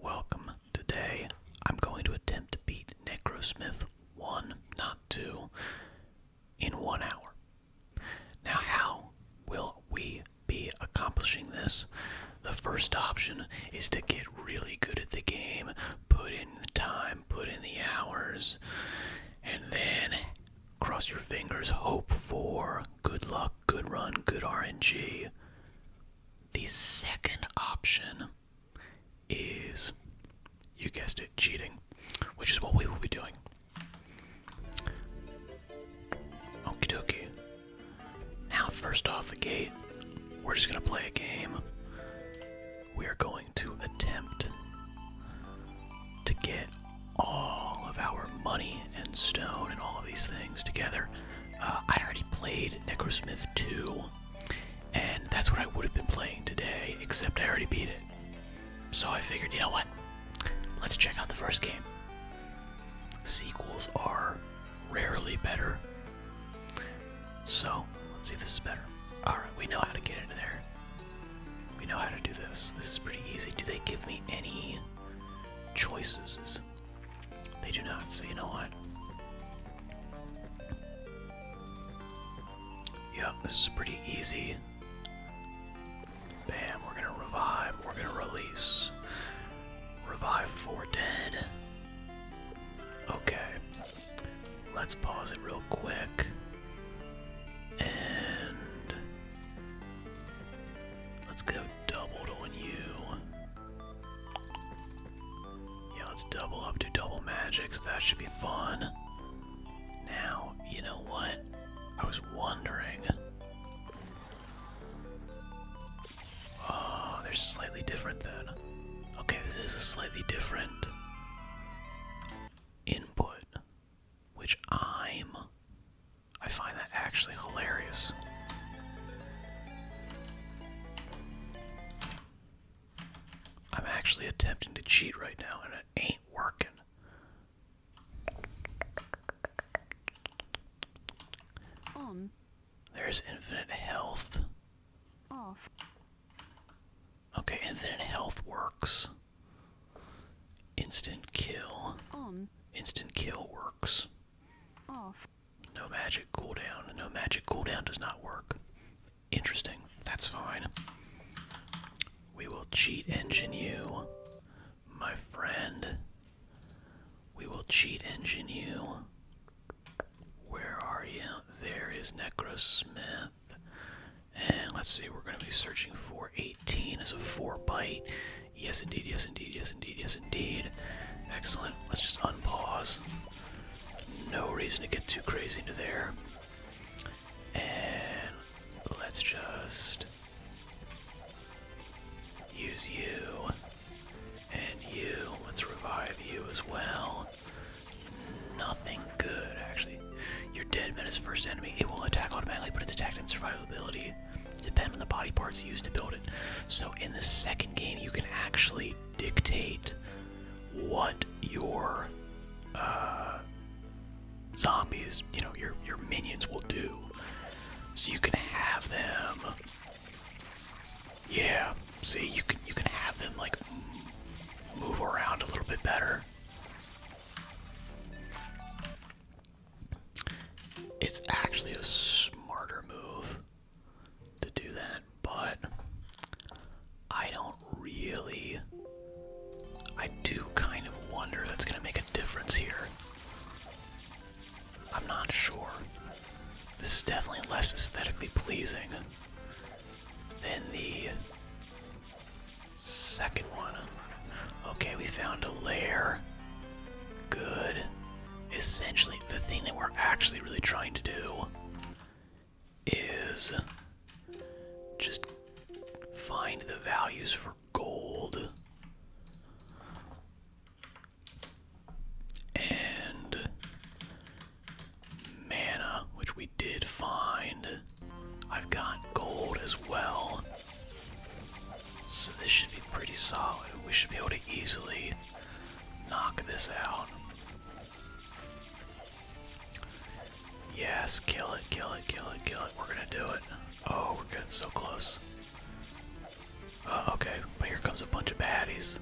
Welcome. Today, I'm going to attempt to beat Necro Smith 1, not 2, in one hour. Now, how will we be accomplishing this? The first option is to get really good at the game, put in the time, put in the hours, and then cross your fingers, hope for good luck, good run, good RNG. The second option is, you guessed it, cheating, which is what we will be doing. Okie dokie. Now, first off the gate, we're just gonna play a game. We are going to attempt to get all of our money and stone and all of these things together uh, I already played Necrosmith 2, and that's what I would have been playing today, except I already beat it. So I figured, you know what? Let's check out the first game. Sequels are rarely better. So, let's see if this is better. Alright, we know how to get in there. We know how to do this. This is pretty easy. Do they give me any choices? They do not, so you know what? Yep, this is pretty easy. Bam, we're gonna revive, we're gonna release. Revive four dead. Okay. Let's pause it real quick. And let's go doubled on you. Yeah, let's double up, to double magics. That should be fun. Now, you know what? I was wondering. Oh, they slightly different then. Okay, this is a slightly different input, which I'm. I find that actually hilarious. I'm actually attempting to cheat right now and it ain't working. There's infinite health. Off. Okay, infinite health works. Instant kill. On. Instant kill works. Off. No magic cooldown. No magic cooldown does not work. Interesting. That's fine. We will cheat engine you, my friend. We will cheat engine you. Where are you? There is Necrosmith. And let's see, we're going to be searching for 18 as a 4 byte. Yes, indeed, yes, indeed, yes, indeed, yes, indeed. Excellent. Let's just unpause. No reason to get too crazy into there. And let's just use you and you. Let's revive you as well. Nothing good, actually. Your dead is first enemy. It will attack automatically, but it's attacked in survivability. Depend on the body parts used to build it. So in the second game, you can actually dictate what your uh, zombies, you know, your your minions will do. So you can have them. Yeah, see, you can you can have them like move around a little bit better. It's actually a smarter move to do that, but I don't really. I do kind of wonder that's going to make a difference here. I'm not sure. This is definitely less aesthetically pleasing than the second one. Okay, we found a lair. Good essentially the thing that we're actually really trying to do is just find the values for gold and mana, which we did find. I've got gold as well. So this should be pretty solid. We should be able to easily knock this out. Yes, kill it, kill it, kill it, kill it. We're gonna do it. Oh, we're getting so close. Uh, okay, but here comes a bunch of baddies.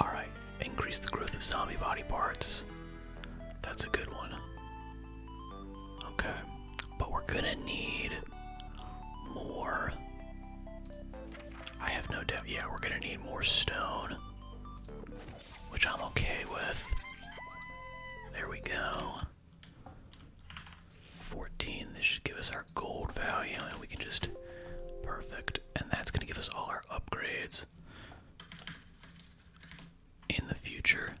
Alright, increase the growth of zombie body parts. That's a good one. Okay, but we're gonna need more I have no doubt. Yeah, we're gonna need more stone, which I'm okay with. There we go. 14. This should give us our gold value, and we can just. Perfect. And that's gonna give us all our upgrades in the future.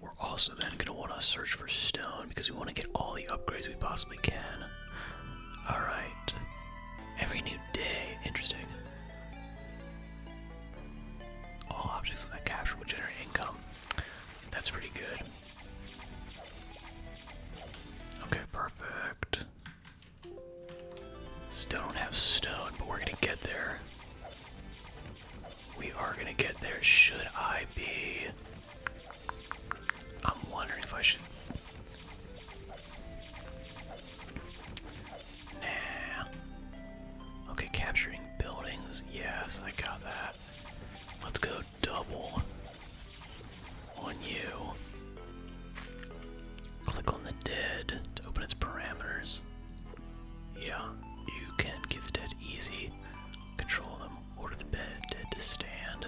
We're also then gonna wanna search for stone because we wanna get all the upgrades we possibly can. Alright. Every new day. Interesting. All objects that I capture will generate income. That's pretty good. Okay, perfect. Still don't have stone, but we're gonna get there. We are gonna get there. Should I be I'm wondering if I should. Nah. Okay, capturing buildings. Yes, I got that. Let's go double on you. Click on the dead to open its parameters. Yeah, you can give the dead easy. Control them. Order the bed dead to stand.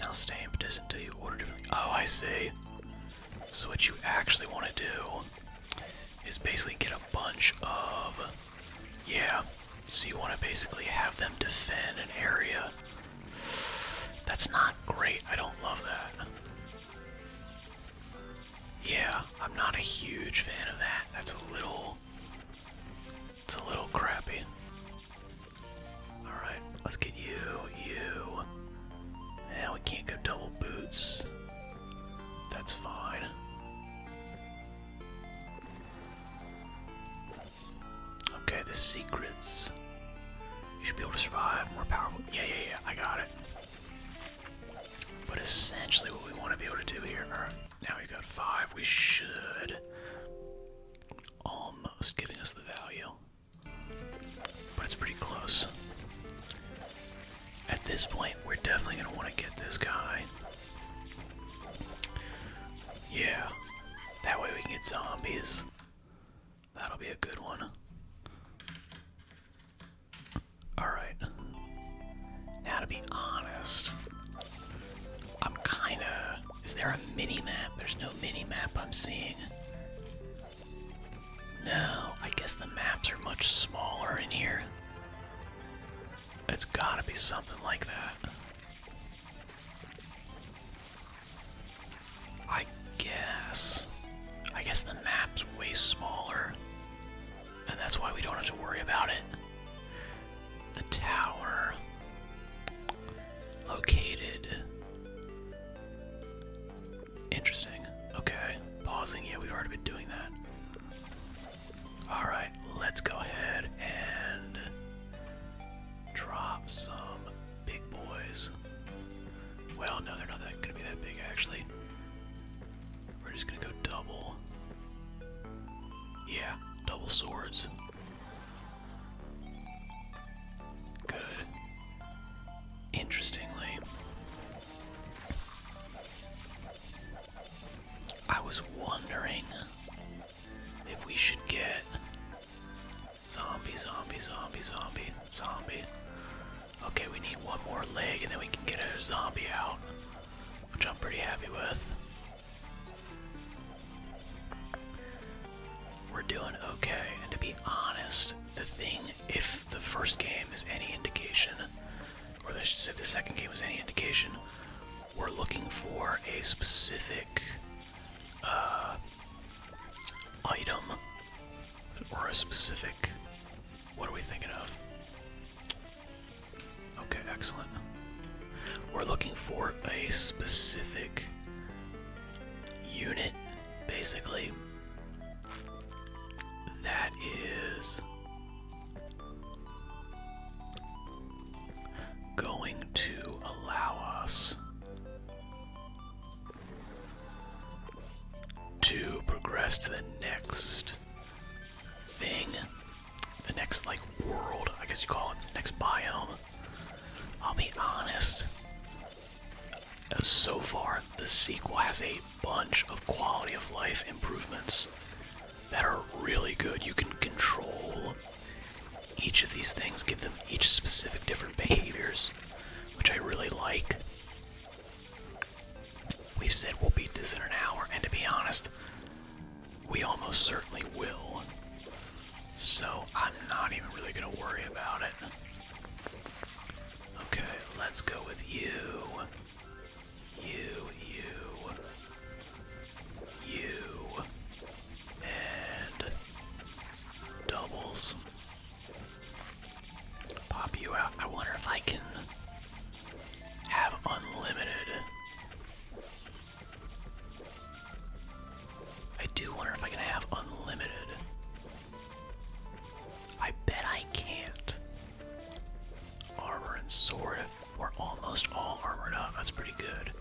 Now stamp doesn't do you order differently. Oh, I see. So what you actually want to do is basically get a bunch of yeah. So you want to basically have them defend an area. That's not great. I don't love that. Yeah, I'm not a huge fan of that. That's a little it's a little crappy. Alright, let's get you, you. Now we can't go double boots. That's fine. Okay, the secrets. You should be able to survive more powerful. Yeah, yeah, yeah, I got it. But essentially, what we want to be able to do here. now we've got five. We should. Almost giving us the value. But it's pretty close. At this point, we're definitely going to want to get this guy. Yeah. That way we can get zombies. That'll be a good one. Alright. Now, to be honest, I'm kinda. Is there a mini map? There's no mini map I'm seeing. No, I guess the maps are much smaller in here. It's gotta be something like that. I guess. I guess the map's way smaller. And that's why we don't have to worry about it. The tower. Located. Interesting. Okay. Pausing. Yeah, we've already been doing that. Alright, let's go ahead and drop some big boys. Well, no, they're not that gonna be that big actually. We're just gonna go double. Yeah, double swords. Good. Interestingly, I was wondering if we should get zombie, zombie, zombie, zombie, zombie. Okay, we need one more leg and then we can get a zombie out, which I'm pretty happy with. We're doing okay, and to be honest, the thing, if the first game is any indication, or I should say the second game was any indication, we're looking for a specific uh, item or a specific. What are we thinking of? Okay, excellent. We're looking for a specific unit, basically. That is going to allow us to progress to the next thing, the next, like, world, I guess you call it, the next biome. I'll be honest, so far, the sequel has a bunch of quality of life improvements that are really good. You can control each of these things, give them each specific different behaviors, which I really like. We said we'll beat this in an hour, and to be honest, we almost certainly will. So I'm not even really going to worry about it. Okay, let's go with you. You, you, you, and doubles. Pop you out. I wonder if I can have unlimited. I do wonder if I can have unlimited. I bet I can't. Armor and sword. We're almost all armored up. That's pretty good.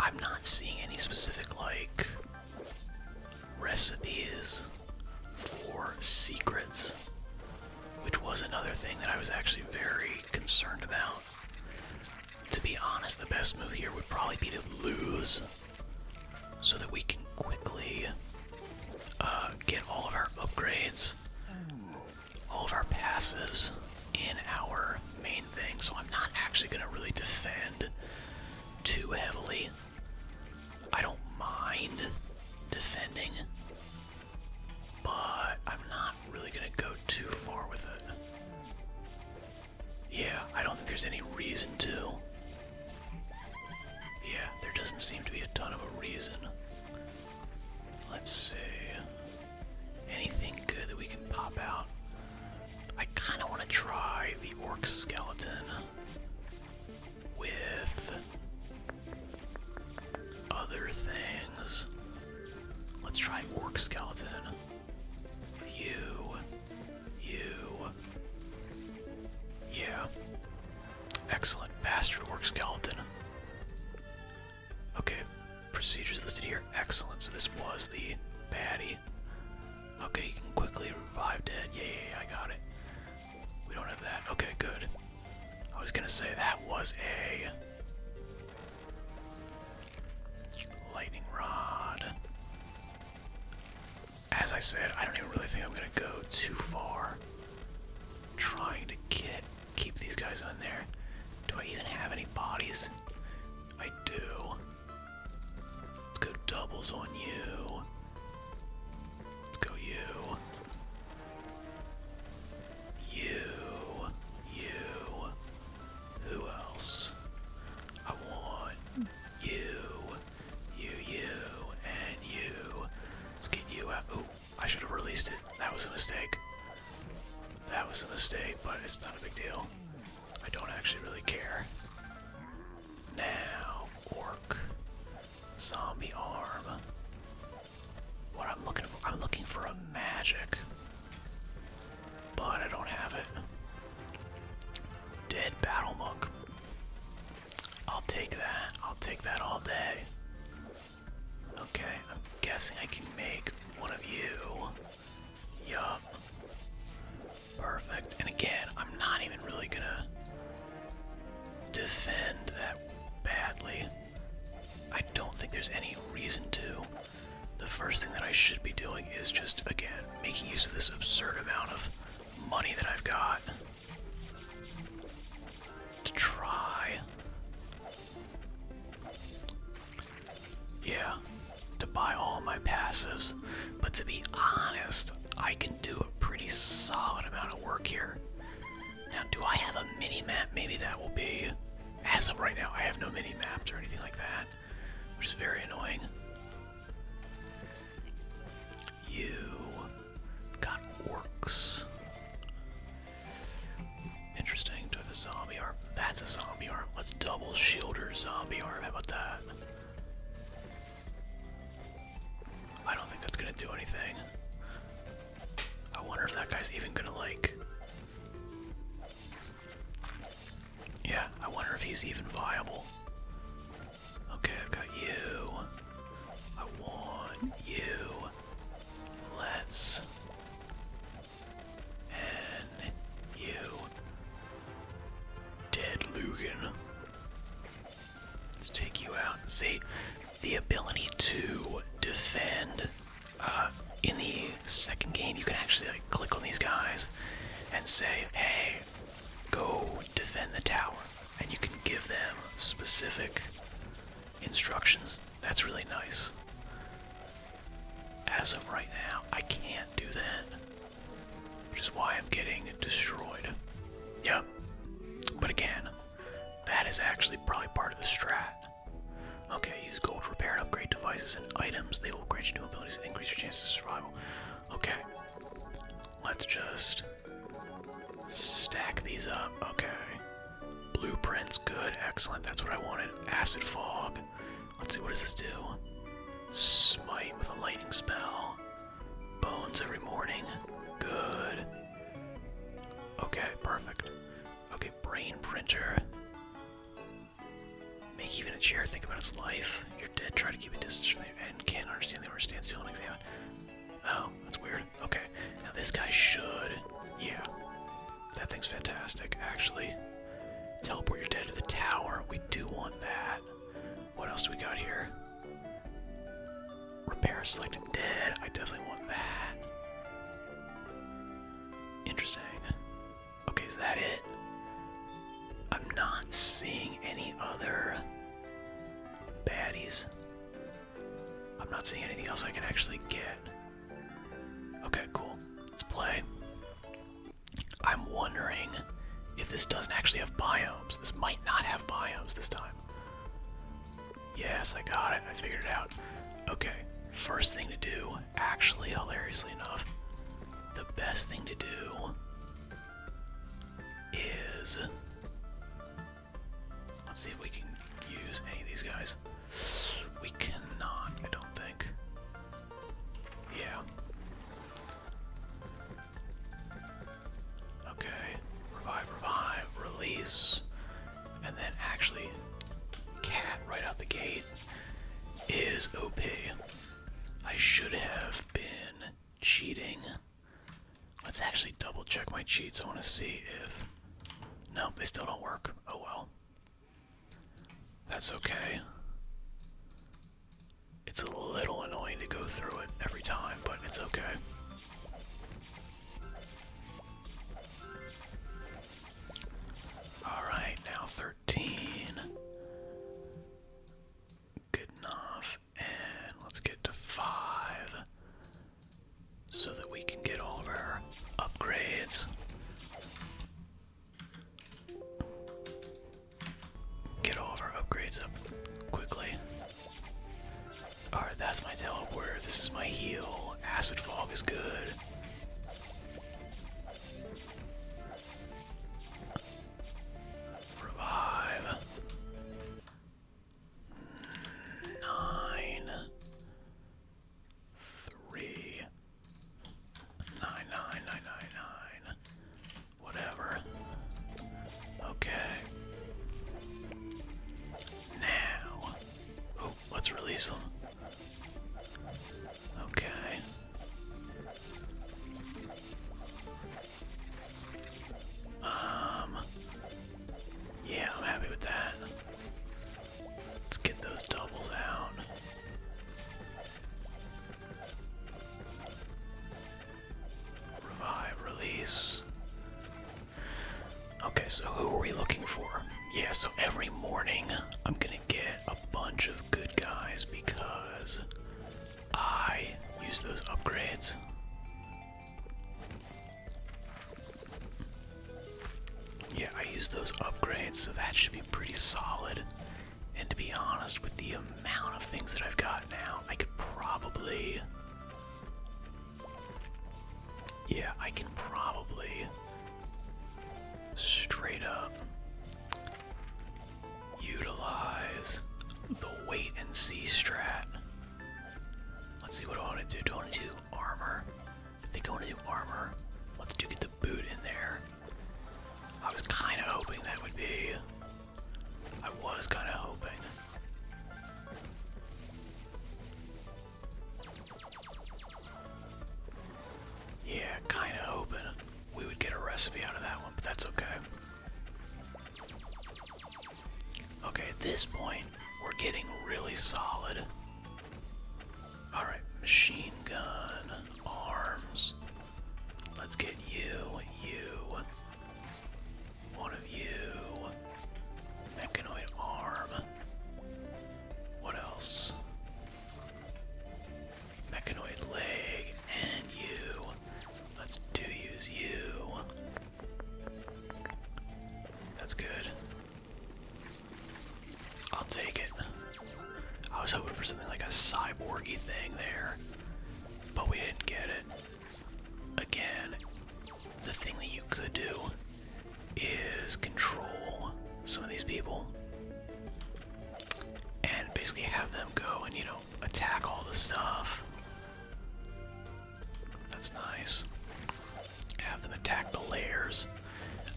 I'm not seeing any specific, like, recipes for secrets, which was another thing that I was actually very concerned about. To be honest, the best move here would probably be to lose so that we can quickly uh, get all of our upgrades, all of our passes in our main thing. So I'm not actually going to really defend too heavily. I don't mind defending, but I'm not really going to go too far with it. Yeah, I don't think there's any reason to. Yeah, there doesn't seem to be a ton of a reason. Let's see. Anything good that we can pop out? I kind of want to try the orc skeleton with other things. Let's try orc skeleton. You. You. Yeah. Excellent. Bastard works, skeleton. Okay. Procedures listed here. Excellent. So this was the baddie. Okay, you can quickly revive dead. Yeah, yeah, I got it. We don't have that. Okay, good. I was gonna say that was a. Lightning rod. As I said, I don't even really think I'm gonna go too far. Trying to keep these guys on there. Do I even have any bodies? I do. Let's go doubles on you. Let's go you. You. You. Who else? I want you, you, you, and you. Let's get you out. Ooh, I should have released it. That was a mistake. That was a mistake, but it's not a big deal. I don't actually really care. Now, orc, zombie arm. What I'm looking for, I'm looking for magic but I don't have it. Dead battle monk. I'll take that. I'll take that all day. Okay, I'm guessing I can make one of you. Yup. Perfect. And again, I'm not even really gonna defend that badly. I don't think there's any reason to the first thing that I should be doing is just, again, making use of this absurd amount of money that I've got to try. Yeah, to buy all my passes. But to be honest, I can do a pretty solid amount of work here. Now, do I have a mini map? Maybe that will be. As of right now, I have no mini maps or anything like that which is very annoying. You got orcs. Interesting to have a zombie arm. That's a zombie arm. Let's double shielder zombie arm. How about that? I don't think that's gonna do anything. I wonder if that guy's even gonna like yeah, I wonder if he's even viable. Okay, I've got you. I want you. Let's. And you. Dead Lugan. Let's take you out. See, the ability to defend uh, in the second game, you can actually click on these guys and say, "Hey, go defend the tower," and you can give them specific instructions. That's really nice. As of right now, I can't do that, which is why I'm getting destroyed. Yep. But again, that is actually probably part of the strat. Okay, use gold to repair and upgrade devices and items. They will grant you new abilities and increase your chances of survival. Okay. Let's just stack these up. Okay. Blueprints, good, excellent. That's what I wanted. Acid fog. Let's see, what does this do? Smite with a lightning spell. Bones every morning. Good. Okay, perfect. Okay, brain printer. Make even a chair think about its life. You're dead, try to keep a distance from there and can't understand the word still and examine. Oh, that's weird. Okay. Now this guy should. Yeah. That thing's fantastic, actually. Teleport your dead to the tower. We do want that. What else do we got here? Repair selected dead. I definitely want that. Interesting. Okay, is that it? I'm not seeing any other baddies. I'm not seeing anything else I can actually get. Okay, cool. Let's play. I'm wondering if this doesn't actually have biomes. This might not have biomes this time. Yes, I got it. I figured it out. Okay, first thing to do, actually, hilariously enough, the best thing to do is let's see if we can use any of these guys. We cannot, I don't think. Yeah. Okay. Revive, revive, release. And then actually, cat right out the gate is OP. I should have been cheating. Let's actually double check my cheats. I want to see if. No, they still don't work. Oh well. That's okay. It's a little annoying to go through it every time, but it's okay. Alright, now 13. Good enough. And let's get to five so that we can get all of our upgrades. Get all of our upgrades up quickly. Alright, that's my teleporter. This is my heal. Acid fog is good. Revive. Nine. Three. Nine, nine, nine, nine, nine. Whatever. Okay. Now. Oh, let's release them. Okay. Um Yeah, I'm happy with that. Let's get those doubles out. Revive, release. Okay, so who are we looking for? Yeah, so every morning I'm gonna get a bunch of good guys because I use those upgrades. Yeah, I use those upgrades, so that should be pretty solid. And to be honest, with the amount of things that I've got now, I could probably. Yeah, I can probably straight up utilize the wait and see strat. Let's see what I want to do. Do I want to do armor? I think I want to do armor. Let's do get the boot in there. I was kind of hoping that would be. I was kind of hoping. Yeah, kind of hoping we would get a recipe out of that one, but that's okay. Okay, at this point, we're getting really solid. Alright, machine gun, arms. Let's get you, you, one of you, mechanoid arm. What else? Mechanoid leg and you. Let's do use you. That's good. I'll take it. I was hoping for something like a cyborgy thing there, but we didn't get it. Again, the thing that you could do is control some of these people and basically have them go and, you know, attack all the stuff. That's nice. Have them attack the layers.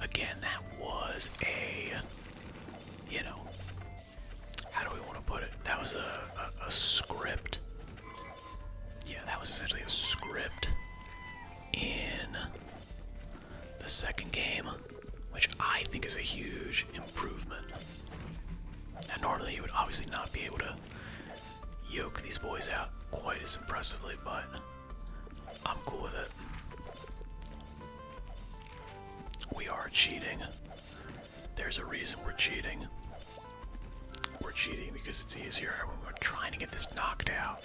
Again, that was a, you know, how do we want to put it? That was a script. Yeah, that was essentially a script in the second game which I think is a huge improvement. And normally you would obviously not be able to yoke these boys out quite as impressively, but I'm cool with it. We are cheating. There's a reason we're cheating. We're cheating because it's easier when we're trying to get this knocked out.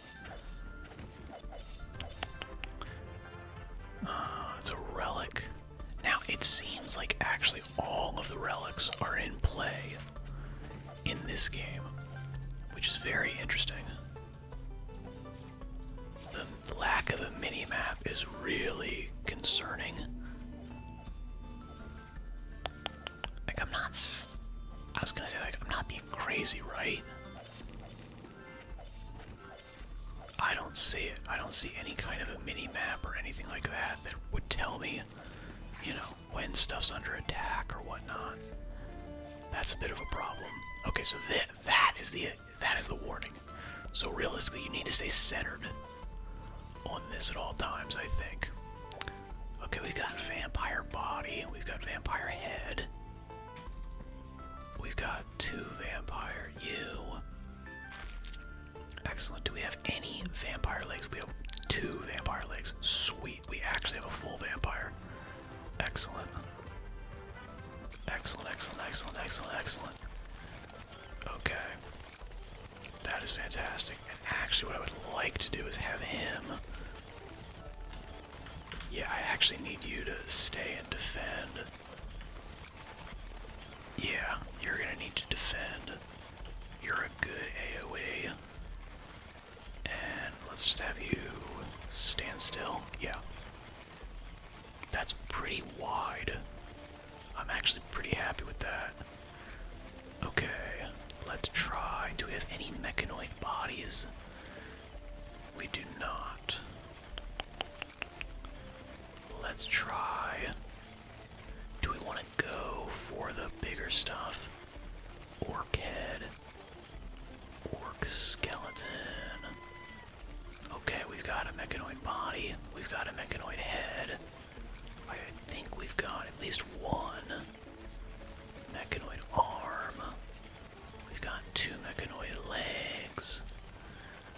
Uh, it's a relic. Now, it seems like actually all of the relics are in play in this game, which is very interesting. The lack of a mini-map is really concerning. Like, I'm not. I was gonna say, like, I'm not being crazy, right? I don't see it. I don't see any kind of a mini map or anything like that that would tell me, you know, when stuff's under attack or whatnot. That's a bit of a problem. Okay, so that that is the that is the warning. So realistically, you need to stay centered on this at all times. I think. Okay, we've got vampire body. We've got vampire head. We've got two vampire you. Excellent. Do we have any vampire legs? We have two vampire legs. Sweet. We actually have a full vampire. Excellent. Excellent, excellent, excellent, excellent, Okay. That is fantastic. And actually, what I would like to do is have him. Yeah, I actually need you to stay and defend. Yeah, you're gonna need to defend. You're a good AoA, And let's just have you stand still. Yeah. That's pretty wide. I'm actually pretty happy with that. Okay, let's try. Do we have any mechanoid bodies? We do not. Let's try. Do we want to go for the bigger stuff? Orc head. Orc skeleton. Okay, we've got a mechanoid body. We've got a mechanoid head. I think we've got at least one mechanoid arm. We've got two mechanoid legs.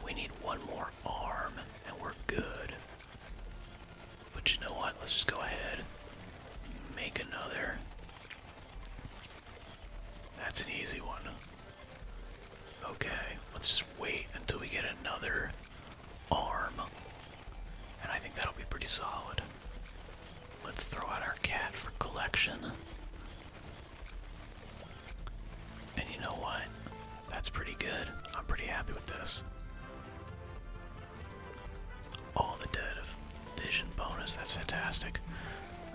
We need one more arm, and we're good. But you know what? Let's just go ahead make another. That's an easy one. Okay, let's just wait until we get another arm. And I think that'll be pretty solid. Let's throw out our cat for collection. And you know what? That's pretty good. I'm pretty happy with this. All the dead of vision bonus, that's fantastic.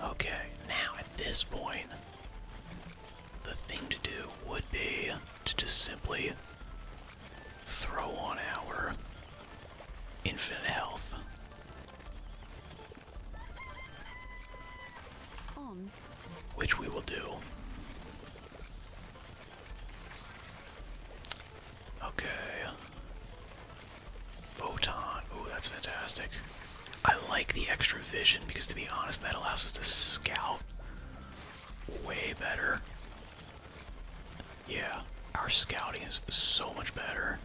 Okay, now at this point, the thing to do would be to just simply throw on our infinite health. Oh, which we will do. Okay. Photon. Ooh, that's fantastic. I like the extra vision because, to be honest, that allows us to scout way better. Yeah, our scouting is so much better.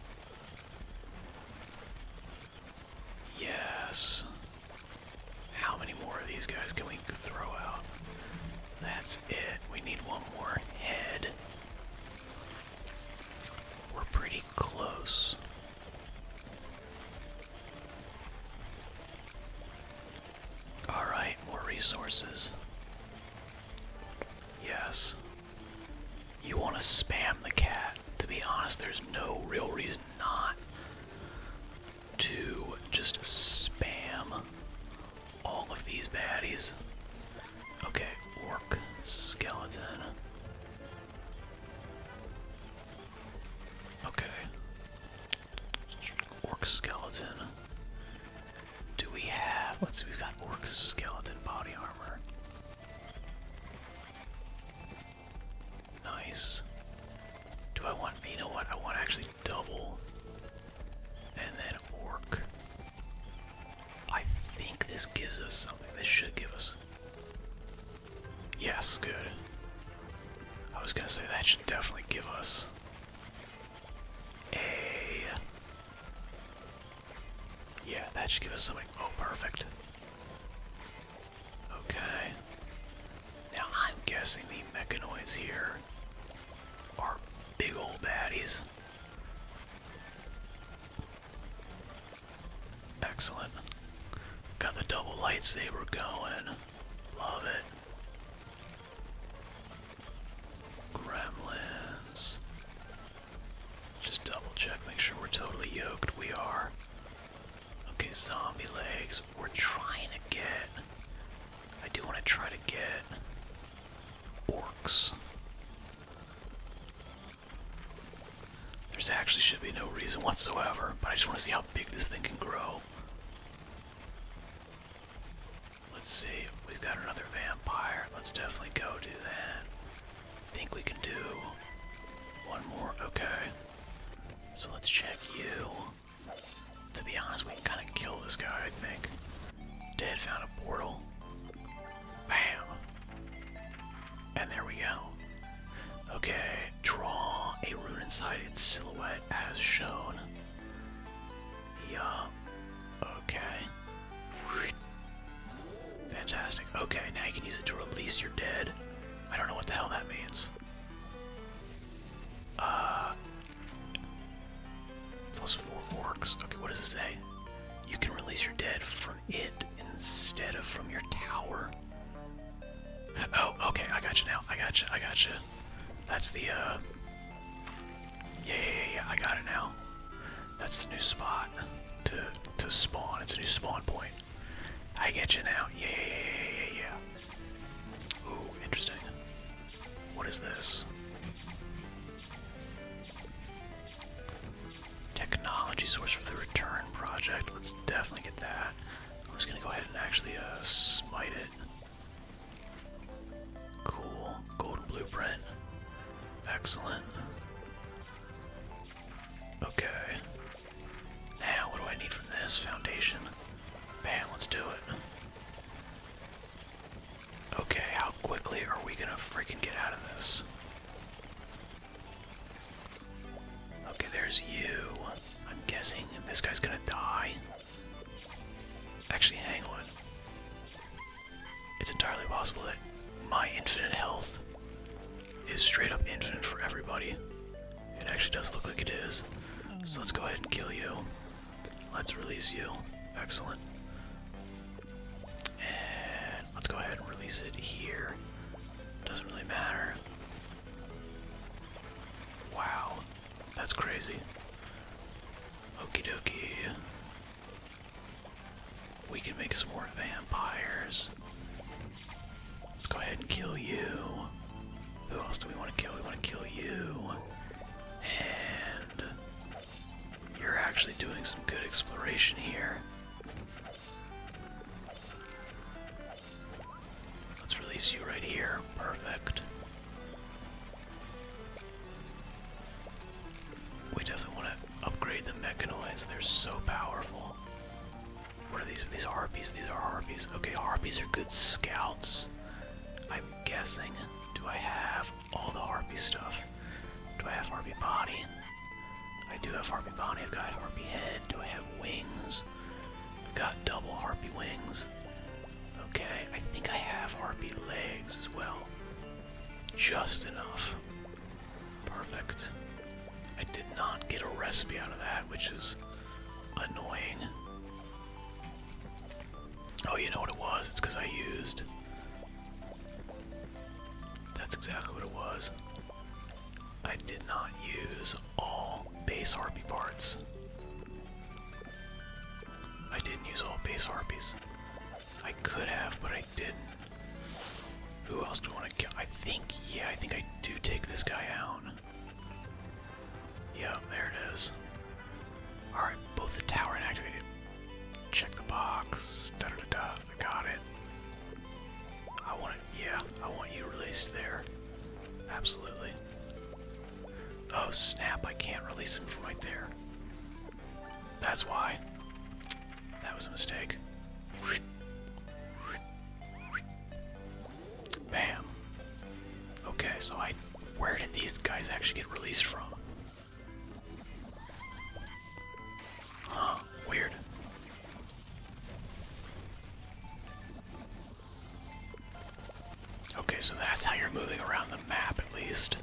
Yes. How many more of these guys can we throw out? That's it. We need one more head. We're pretty close. Alright, more resources. Yes. You want to spam the cat. To be honest, there's no real reason not to just spam all of these baddies. Okay, orc skeleton. Okay. Orc skeleton. Do we have. Let's see, we've got orc skeleton body armor. Nice. Do I want, you know what, I want to actually double and then orc. I think this gives us something. This should give us. Yes, good. I was gonna say that should definitely give us a. Yeah, that should give us something. Oh, perfect. Okay. Now I'm guessing the mechanoids here are big old baddies. Excellent. Got the double lightsaber going. Love it. Gremlins. Just double check, make sure we're totally yoked. We are. Okay, zombie legs. We're trying to get. I do want to try to get orcs. There's actually should be no reason whatsoever, but I just want to see how big this thing can grow. Let's see. We've got another vampire. Let's definitely go do that. I think we can do one more. Okay. So let's check you. To be honest, we kind of killed this guy, I think. Dead found a portal. Bam! And there we go. Okay, draw a rune inside its silhouette as shown. Yeah. Okay. Fantastic. Okay, now you can use it to release your dead. I don't know what the hell that means. Uh, plus four works. Okay, what does it say? You can release your dead from it instead of from your tower. Oh, okay, I got you now. I got you. I got you. That's the. uh... Yeah, yeah, yeah, I got it now. That's the new spot to to spawn. It's a new spawn point. I get you now. yeah, yeah, yeah, yeah. Ooh, interesting. What is this? Technology source for the return project. Let's definitely get that. I'm just gonna go ahead and actually uh, smite it. Cool. Golden blueprint. Excellent. Okay. Now, what do I need from this? Foundation. Man, let's do it. Okay, how quickly are we gonna freaking get out of this? Okay, there's you. I'm guessing this guy's gonna die. Actually, hang on. It's entirely possible that my infinite health is straight up infinite for everybody. It actually does look like it is. So let's go ahead and kill you. Let's release you. Excellent. And let's go ahead and release it here. Doesn't really matter. Wow. That's crazy. Okie dokie. We can make some more vampires. Let's go ahead and kill you. Who else do we want to kill? We want to kill you. And you're actually doing some good exploration here. Let's release you right here. Perfect. We definitely want to upgrade the mechanoids. They're so powerful. What are these? These harpies. These are harpies. Okay, harpies are good scouts. I'm guessing. Do I have all the harpy stuff? Do I have harpy body? I do have harpy body. I've got harpy head. Do I have wings? I've got double harpy wings. Okay, I think I have harpy legs as well. Just enough. Perfect. I did not get a recipe out of that, which is annoying. Oh, you know what it was? It's because I used. That's exactly what it was. I did not use all base harpy parts. I didn't use all base harpies. I could have, but I didn't. Who else do I want to kill? I think, yeah, I think I do take this guy out. Yeah, there it is. Alright, both the tower activated. Check the box. Da Got it. I want it. Yeah, I want you released there. Absolutely. Oh snap! I can't release him from right there. That's why. That was a mistake. Bam. Okay, so I. Where did these guys actually get released from? Huh, weird. Okay, so that's how you're moving around the map at least.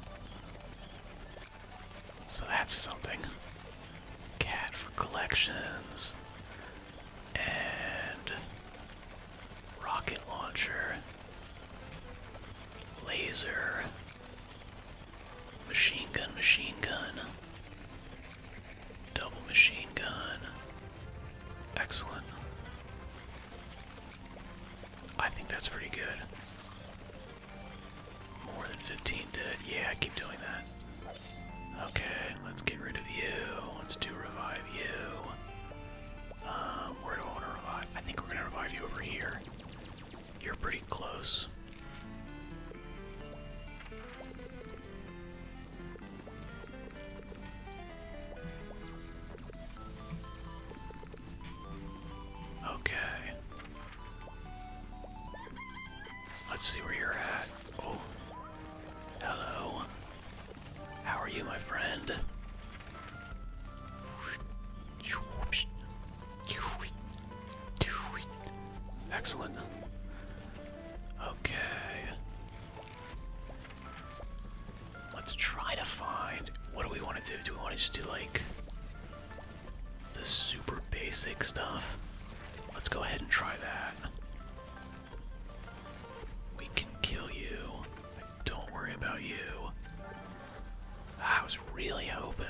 So that's something. Cat for collections and rocket launcher, laser, machine gun, machine gun, double machine gun. Excellent. I think that's pretty good. More than 15 dead. Yeah, keep doing that. Okay, let's get rid of you. Let's do revive you. Um, where do I want to revive? I think we're gonna revive you over here. You're pretty close. Okay. Let's see where you're at. Oh. Hello. How are you, my friend? Excellent. Okay. Let's try to find. What do we want to do? Do we want to just do like the super basic stuff? Let's go ahead and try that. We can kill you. Don't worry about you. I was really hoping.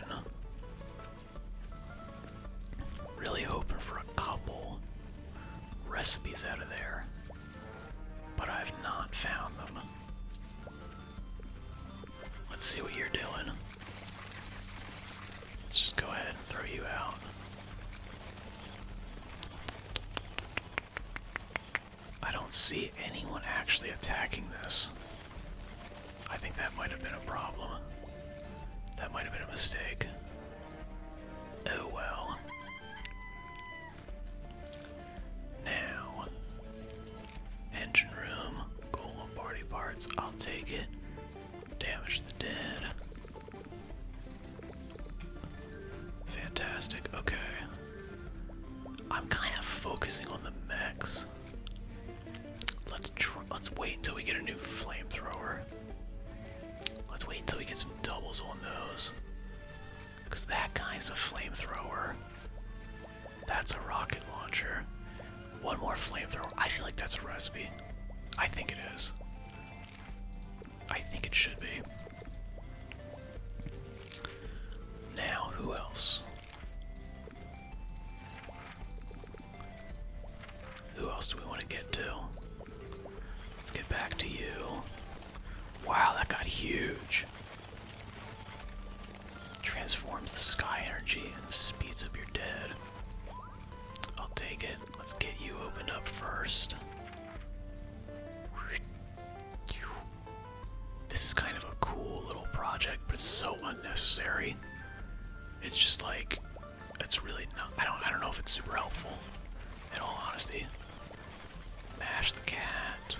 Really hoping for a couple recipes out of there. But I've not found them. Let's see what you're doing. Let's just go ahead and throw you out. I don't see anyone actually attacking this. I think that might have been a problem. That might have been a mistake. Oh well. Now, engine room, gold party parts, I'll take it. Damage the dead. Fantastic, okay. I'm kind of focusing on the max. Let's let's wait until we get a new flamethrower. Let's wait until we get some doubles on those. Cause that guy's a flamethrower. That's a rocket launcher. One more flamethrower. I feel like that's a recipe. I think it is. I think it should be. Now, who else? Who else do we want to get to? Let's get back to you. Wow, that got huge. Transforms the sky energy and speeds up your dead. I'll take it. Let's get you opened up first. This is kind of a cool little project, but it's so unnecessary. It's just like it's really not I don't I don't know if it's super helpful in all honesty. Mash the cat.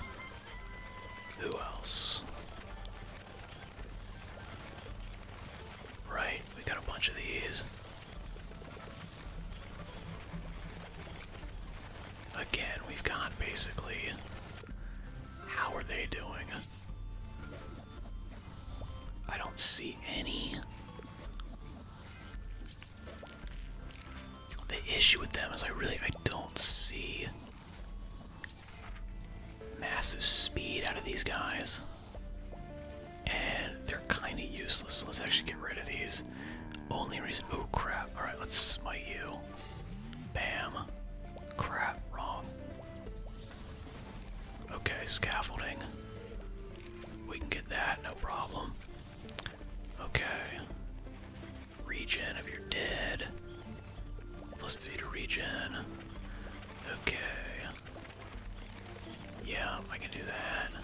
Who else? Right, we got a bunch of these. Again, we've gone basically. How are they doing? I don't see any. The issue with them is I really I don't see massive speed out of these guys. And they're kind of useless. Let's actually get rid of these only reason. Oh crap! All right, let's smite you. Bam. Crap. Wrong. Okay, scaffolding. We can get that, no problem. Okay. Regen if you're dead. Plus three to regen. Okay. Yeah, I can do that.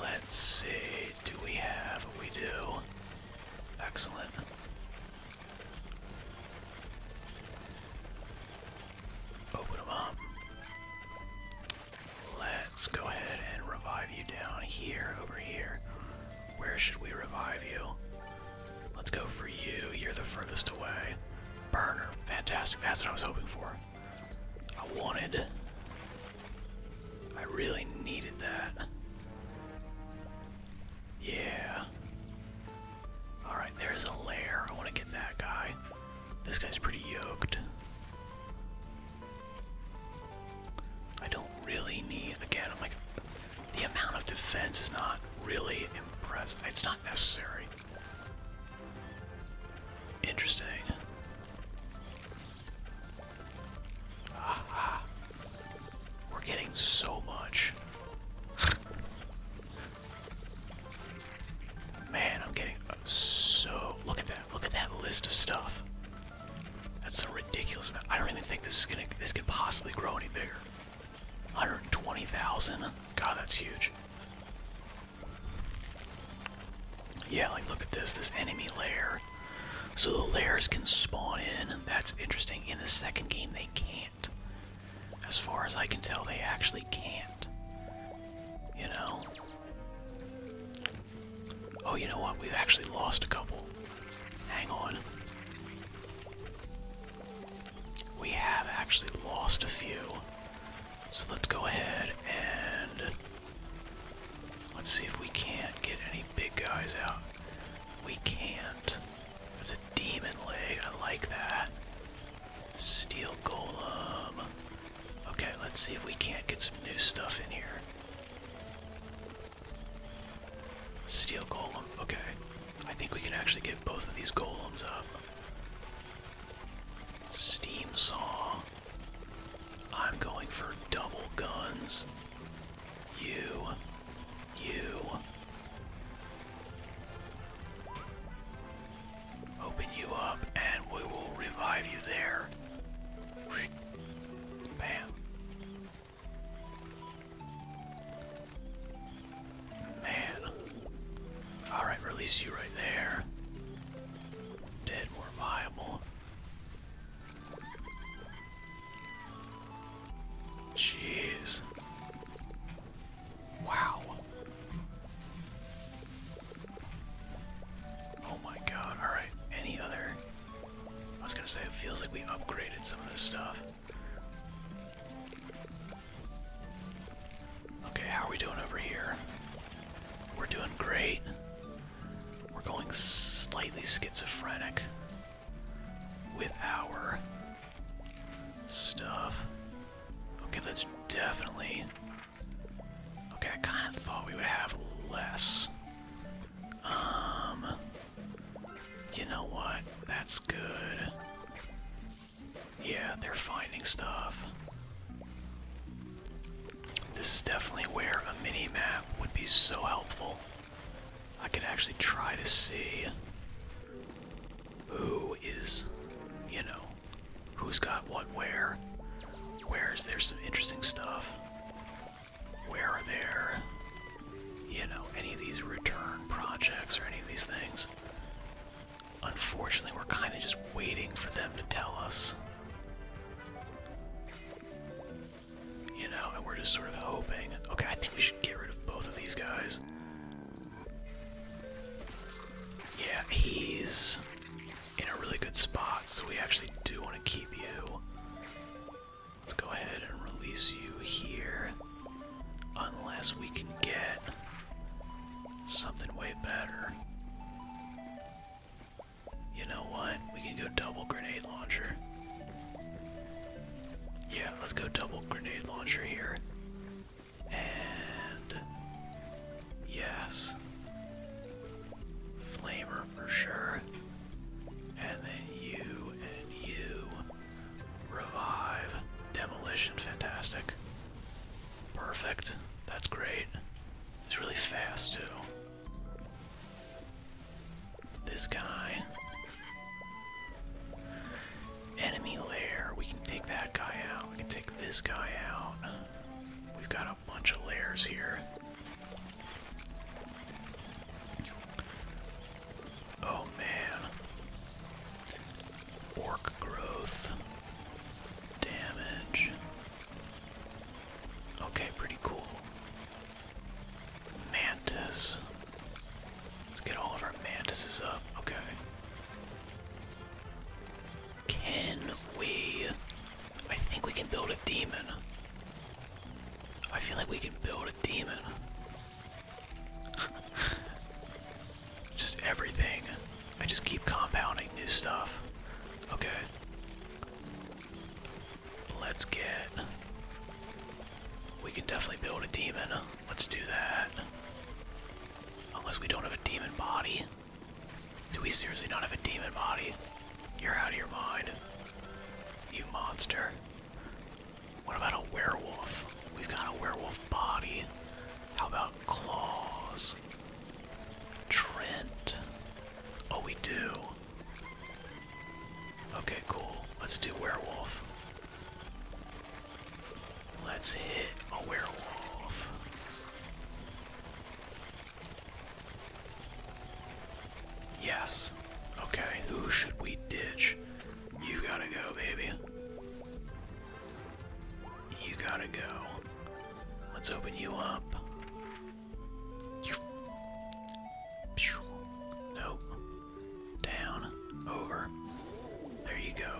Let's see do we have? We do. Excellent. Open them up. Let's go ahead and revive you down here, over here. Where should we revive you? Let's go for you. You're the furthest away. Burner. Fantastic. That's what I was hoping for. I wanted I really needed that. Yeah. Alright, there's a lair. I want to get that guy. This guy's pretty yoked. I don't really need, again, I'm like, the amount of defense is not really impressive. It's not necessary. Interesting. We're getting so much. Man, I'm getting so. Look at that. Look at that list of stuff. That's a ridiculous amount. I don't even think this is gonna. This could possibly grow any bigger. 120,000. God, that's huge. Yeah, like look at this. This enemy layer. So the layers can spawn in. and That's interesting. In the second game, they can't. As far as I can tell, they actually can't. You know? Oh, you know what? We've actually lost a couple. Hang on. We have actually lost a few. So let's go ahead and Let's see if we can't get any big guys out. We can't. That's a demon leg. I like that. Steel golem. Okay, let's see if we can't get some new stuff in here. Steel golem. Okay. I think we can actually get both of these golems up. Steam song. I'm going for double guns. You. You. Open you up and we will revive you there. Bam. Man. Alright, release you right there. Dead more viable. Jeez. Wow. Oh my god, alright. Any other. I was gonna say, it feels like we upgraded some of this stuff. Okay, how are we doing over here? We're doing great. We're going slightly schizophrenic with our stuff. Okay, that's definitely. Okay, I kind of thought we would have less. Um. You know what? That's good. Yeah, they're finding stuff. This is definitely where a mini map would be so helpful. I could actually try to see who is, you know, who's got what where. Where is there some interesting stuff? Where are there, you know, any of these return projects or any of these things? Unfortunately, we're kind of just waiting for them to tell us. You know, and we're just sort of hoping. Okay, I think we should get rid of both of these guys. Yeah, he's in a really good spot, so we actually do want to keep you. Let's go ahead and release you here. Unless we can get something way better. You know what? We can go double grenade launcher. Yeah, let's go double grenade launcher here. And. Yes. Flamer for sure. And then you and you. Revive. Demolition. Fantastic. Perfect. That's great. It's really fast, too. This guy. Enemy lair. We can take that guy out. We can take this guy out. We've got a bunch of lairs here. Oh man. Orc growth. Damage. Okay, pretty cool. Mantis. Let's get all of our mantises up. Okay. Can we. I think we can build a demon. I feel like we can build a demon. just everything. I just keep compounding new stuff. Okay. Let's get. We can definitely build a demon. Let's do that. Unless we don't have a demon body. Do we seriously not have a demon body? You're out of your mind. You monster. What about a werewolf? We've got a werewolf body. How about claws? Trent. Oh, we do. Okay, cool. Let's do werewolf. Let's hit a werewolf. Yes. Okay, who should we ditch? You gotta go, baby. You gotta go. Let's open you up. Nope. Down. Over. There you go.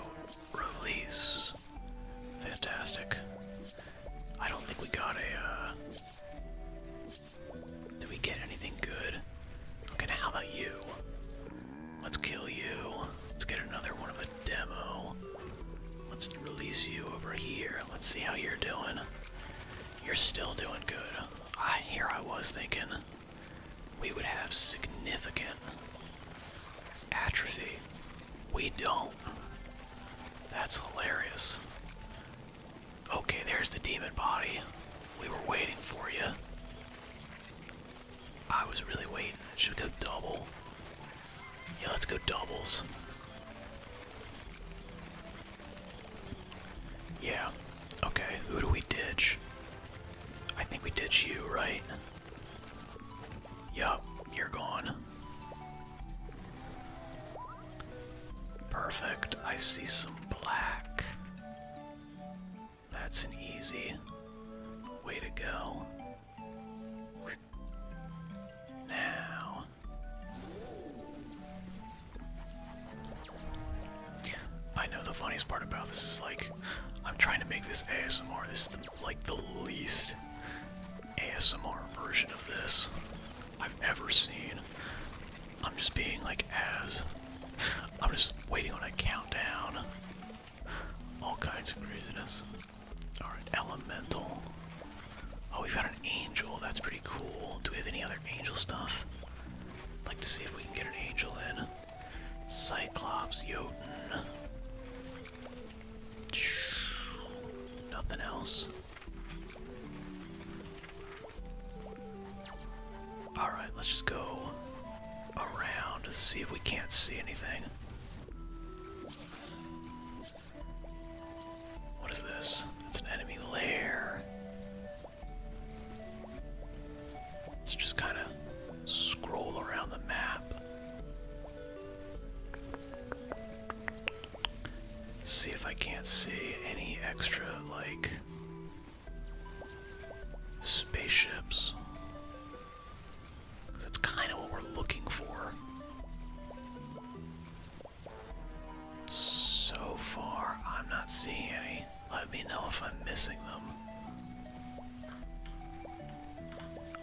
Release. Fantastic. I don't think we got a, uh, Did we get anything good? Okay, how about you? Let's kill you. Let's get another one of a demo. Let's release you over here. Let's see how you're doing. You're still doing good. I here I was thinking we would have significant atrophy. We don't. That's hilarious. Okay, there's the demon body. We were waiting for you. I was really waiting. Should we go double? Yeah, let's go doubles. Yeah. Okay, who do we ditch? I think we ditch you, right? Yup, you're gone. Perfect. I see some black. That's an easy way to go. Now, I know the funniest part about this is like, I'm trying to make this ASMR. This is like the least ASMR version of this I've ever seen. I'm just being like as. I'm just waiting on a countdown. All kinds of craziness. Alright, elemental. Oh, we've got an angel. That's pretty cool. Do we have any other angel stuff? Like to see if we can get an angel in. Cyclops, Jotun. Nothing else. Alright, let's just go around to see if we can't see anything. What is this? It's an enemy lair. Let's just kind of scroll around the map. See if I can't see any extra, like, spaceships. Because that's kind of what we're looking for. So far, I'm not seeing any. Let me know if I'm missing them.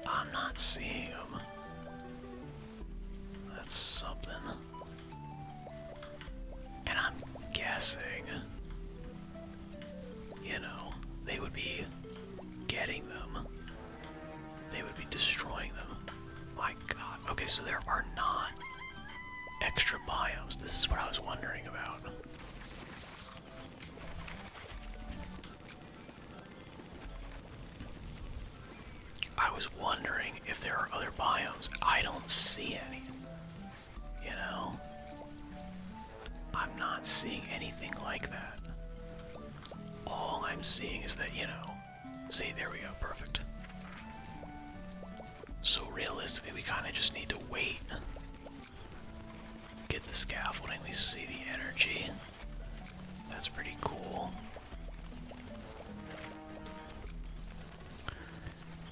I'm not seeing them. That's something. And I'm guessing, you know, they would be getting them. They would be destroying them. My god. Okay, so there are not Extra biomes. This is what I was wondering about. I was wondering if there are other biomes. I don't see any. You know? I'm not seeing anything like that. All I'm seeing is that, you know. See, there we go. Perfect. So realistically, we kind of just need to wait. Get the scaffolding, we see the energy. That's pretty cool.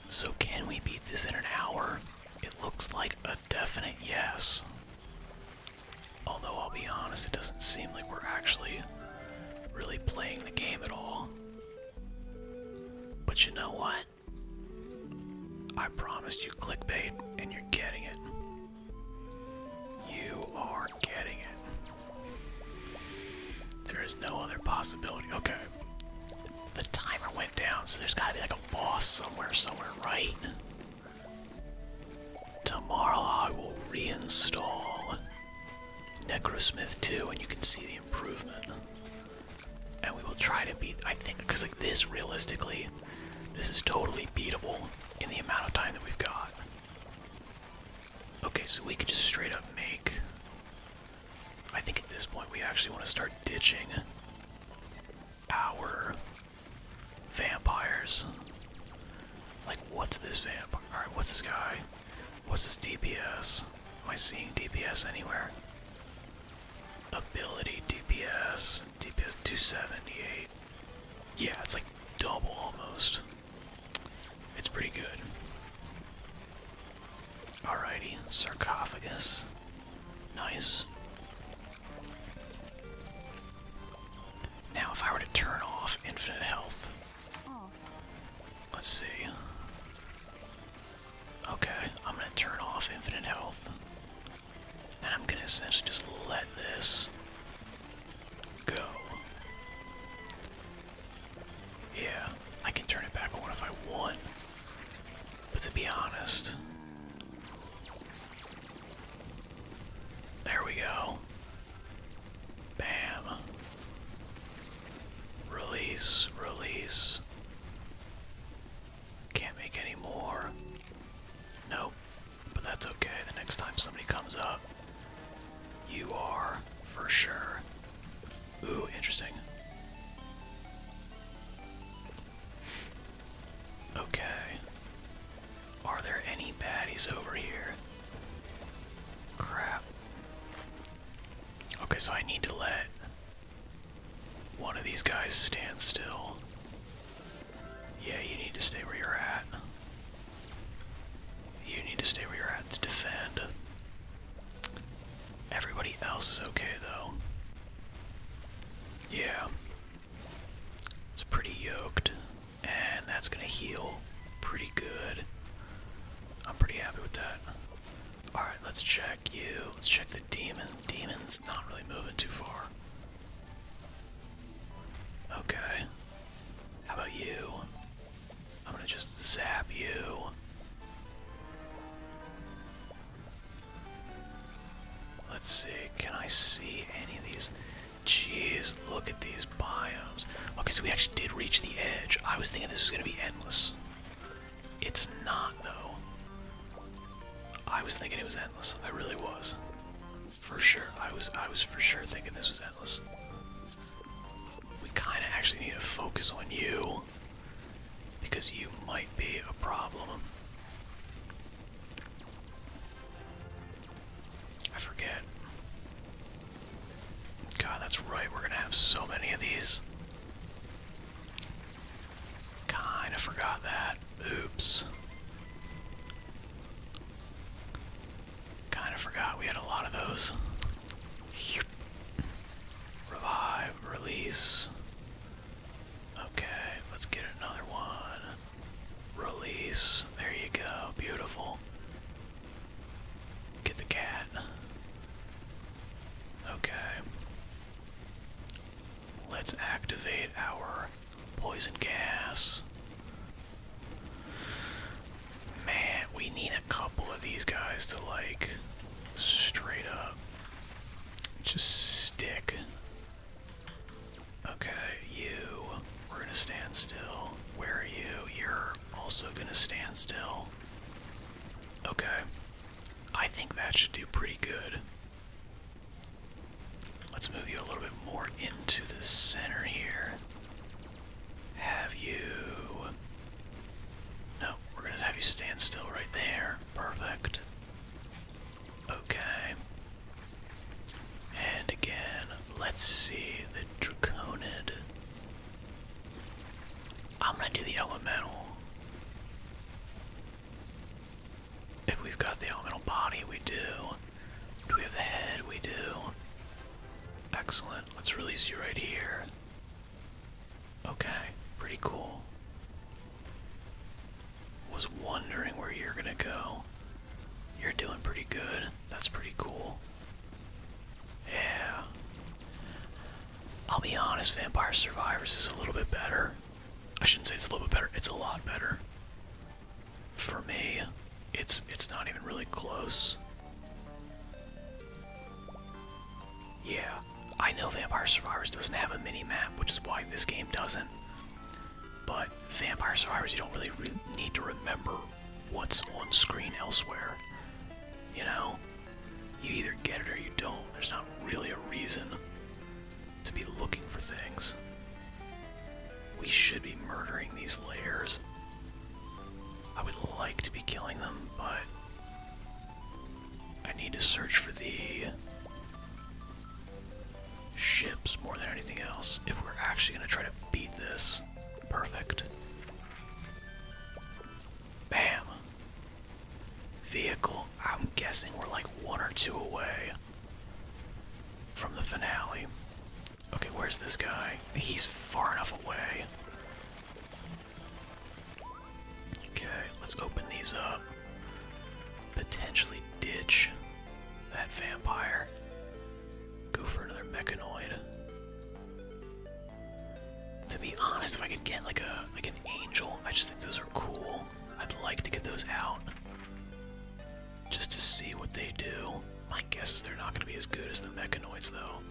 So, can we beat this in an hour? It looks like a definite yes. Although, I'll be honest, it doesn't seem like we're actually really playing the game at all. But you know what? I promised you clickbait, and you're getting it. You are getting it. There is no other possibility. Okay. The timer went down, so there's gotta be like a boss somewhere, somewhere, right? Tomorrow I will reinstall Necrosmith 2 and you can see the improvement and we will try to beat. I think because like this, realistically, this is totally beatable in the amount of time that we've got. Okay, so we can just straight up make. I think at this point we actually want to start ditching our vampires. Like, what's this vampire? Alright, what's this guy? What's this DPS? Am I seeing DPS anywhere? Ability DPS. DPS 278. Yeah, it's like double almost. It's pretty good. Alrighty, sarcophagus. Nice. Now, if I were to turn off infinite health, oh. let's see. Okay, I'm gonna turn off infinite health. And I'm gonna essentially just let this go. Yeah, I can turn it back on if I want. But to be honest. There we go. Bam. Release, release. Can't make any more. Nope. But that's okay. The next time somebody comes up, you are for sure. Ooh, interesting. Okay. Are there any baddies over here? Crap. Okay, so I need to let one of these guys stands still. Yeah, you need to stay where you're at. You need to stay where you're at to defend. Everybody else is okay, though. Yeah. It's pretty yoked. And that's gonna heal pretty good. I'm pretty happy with that. Alright, let's check you. Let's check the demons. Demon's not really moving too far. Okay. How about you? I'm gonna just zap you. Let's see, can I see any of these? Jeez, look at these biomes. Okay, so we actually did reach the edge. I was thinking this was gonna be endless. It's not, though. I was thinking it was endless. I really was. For sure. I was I was for sure thinking this was endless. We kinda actually need to focus on you. Because you might be a problem. I forget. God, that's right, we're gonna have so many of these. Kind of forgot that. Oops. Kind of forgot we had a lot of those. Revive, release. Okay, let's get another one. Release. There you go. Beautiful. Get the cat. Okay. Let's activate our poison gas. Man, we need a couple of these guys to like straight up just stick. Okay, you. We're gonna stand still. Where are you? You're also gonna stand still. Okay. I think that should do pretty good. Let's move you a little bit more into the center here. Have you. No, we're gonna have you stand still right there. Perfect. Okay. And again, let's see the Draconid. I'm gonna do the elemental. If we've got the elemental body, we do. Do we have the head? We do. Excellent. Let's release you right here. Okay, pretty cool. Was wondering where you're gonna go. You're doing pretty good. That's pretty cool. Yeah. I'll be honest, Vampire Survivors is a little bit better. I shouldn't say it's a little bit better, it's a lot better. For me, it's it's not even really close. Yeah, I know Vampire Survivors doesn't have a mini-map, which is why this game doesn't. But Vampire Survivors, you don't really need to remember what's on screen elsewhere. You know? You either get it or you don't. There's not really a reason to be looking for things. We should be murdering these layers. I would like to be killing them, but I need to search for the ships more than anything else if we're actually going to try to beat this. Perfect. Bam! vehicle. I'm guessing we're like one or two away from the finale. Okay, where's this guy? He's far enough away. Okay, let's open these up. Potentially ditch that vampire. Go for another mechanoid. To be honest, if I could get like a like an angel, I just those are cool. I'd like to get those out just to see what they do. My guess is they're not going to be as good as the mechanoids, though,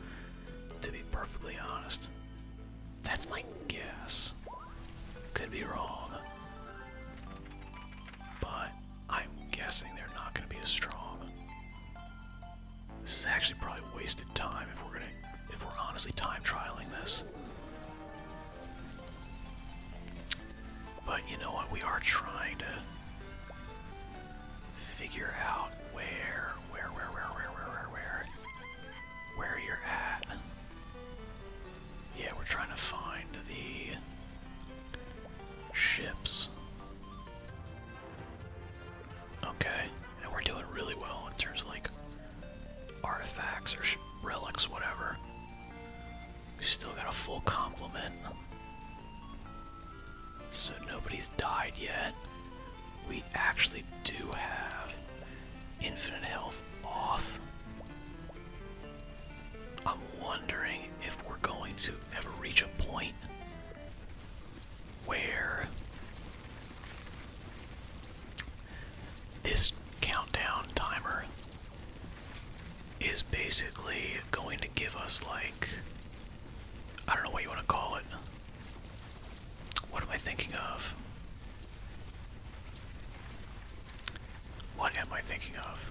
to be perfectly honest. That's my guess. Could be wrong. But I'm guessing they're not going to be as strong. This is actually probably wasted time if we're going to if we're honestly time trialing this. But you know what? We are trying to figure out where, where, where, where, where, where, where, where, you're at. Yeah, we're trying to find the ships. Okay and we're doing really well in terms of like artifacts or relics, whatever. We still got a full complement. So nobody's died yet. We actually do have infinite health off. I'm wondering if we're going to ever reach a point where this countdown timer is basically going to give us, like, I don't know what you want to call it. What am I thinking of? What am I thinking of?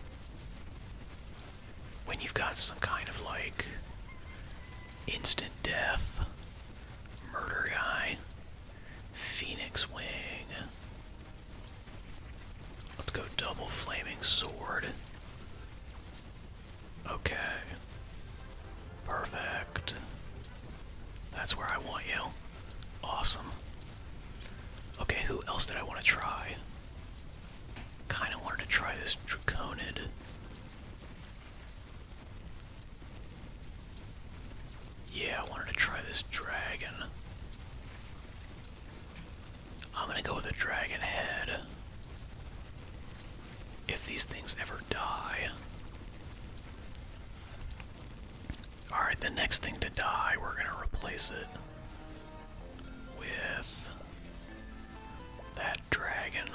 When you've got some kind of like instant death murder guy Phoenix Wing. Let's go double flaming sword. Okay. Perfect. That's where I want you. Awesome. Okay, who else did I want to try? Kinda wanted to try this Draconid. Yeah, I wanted to try this dragon. I'm gonna go with a dragon head. If these things ever die. Alright, the next thing to die, we're gonna replace it with that dragon.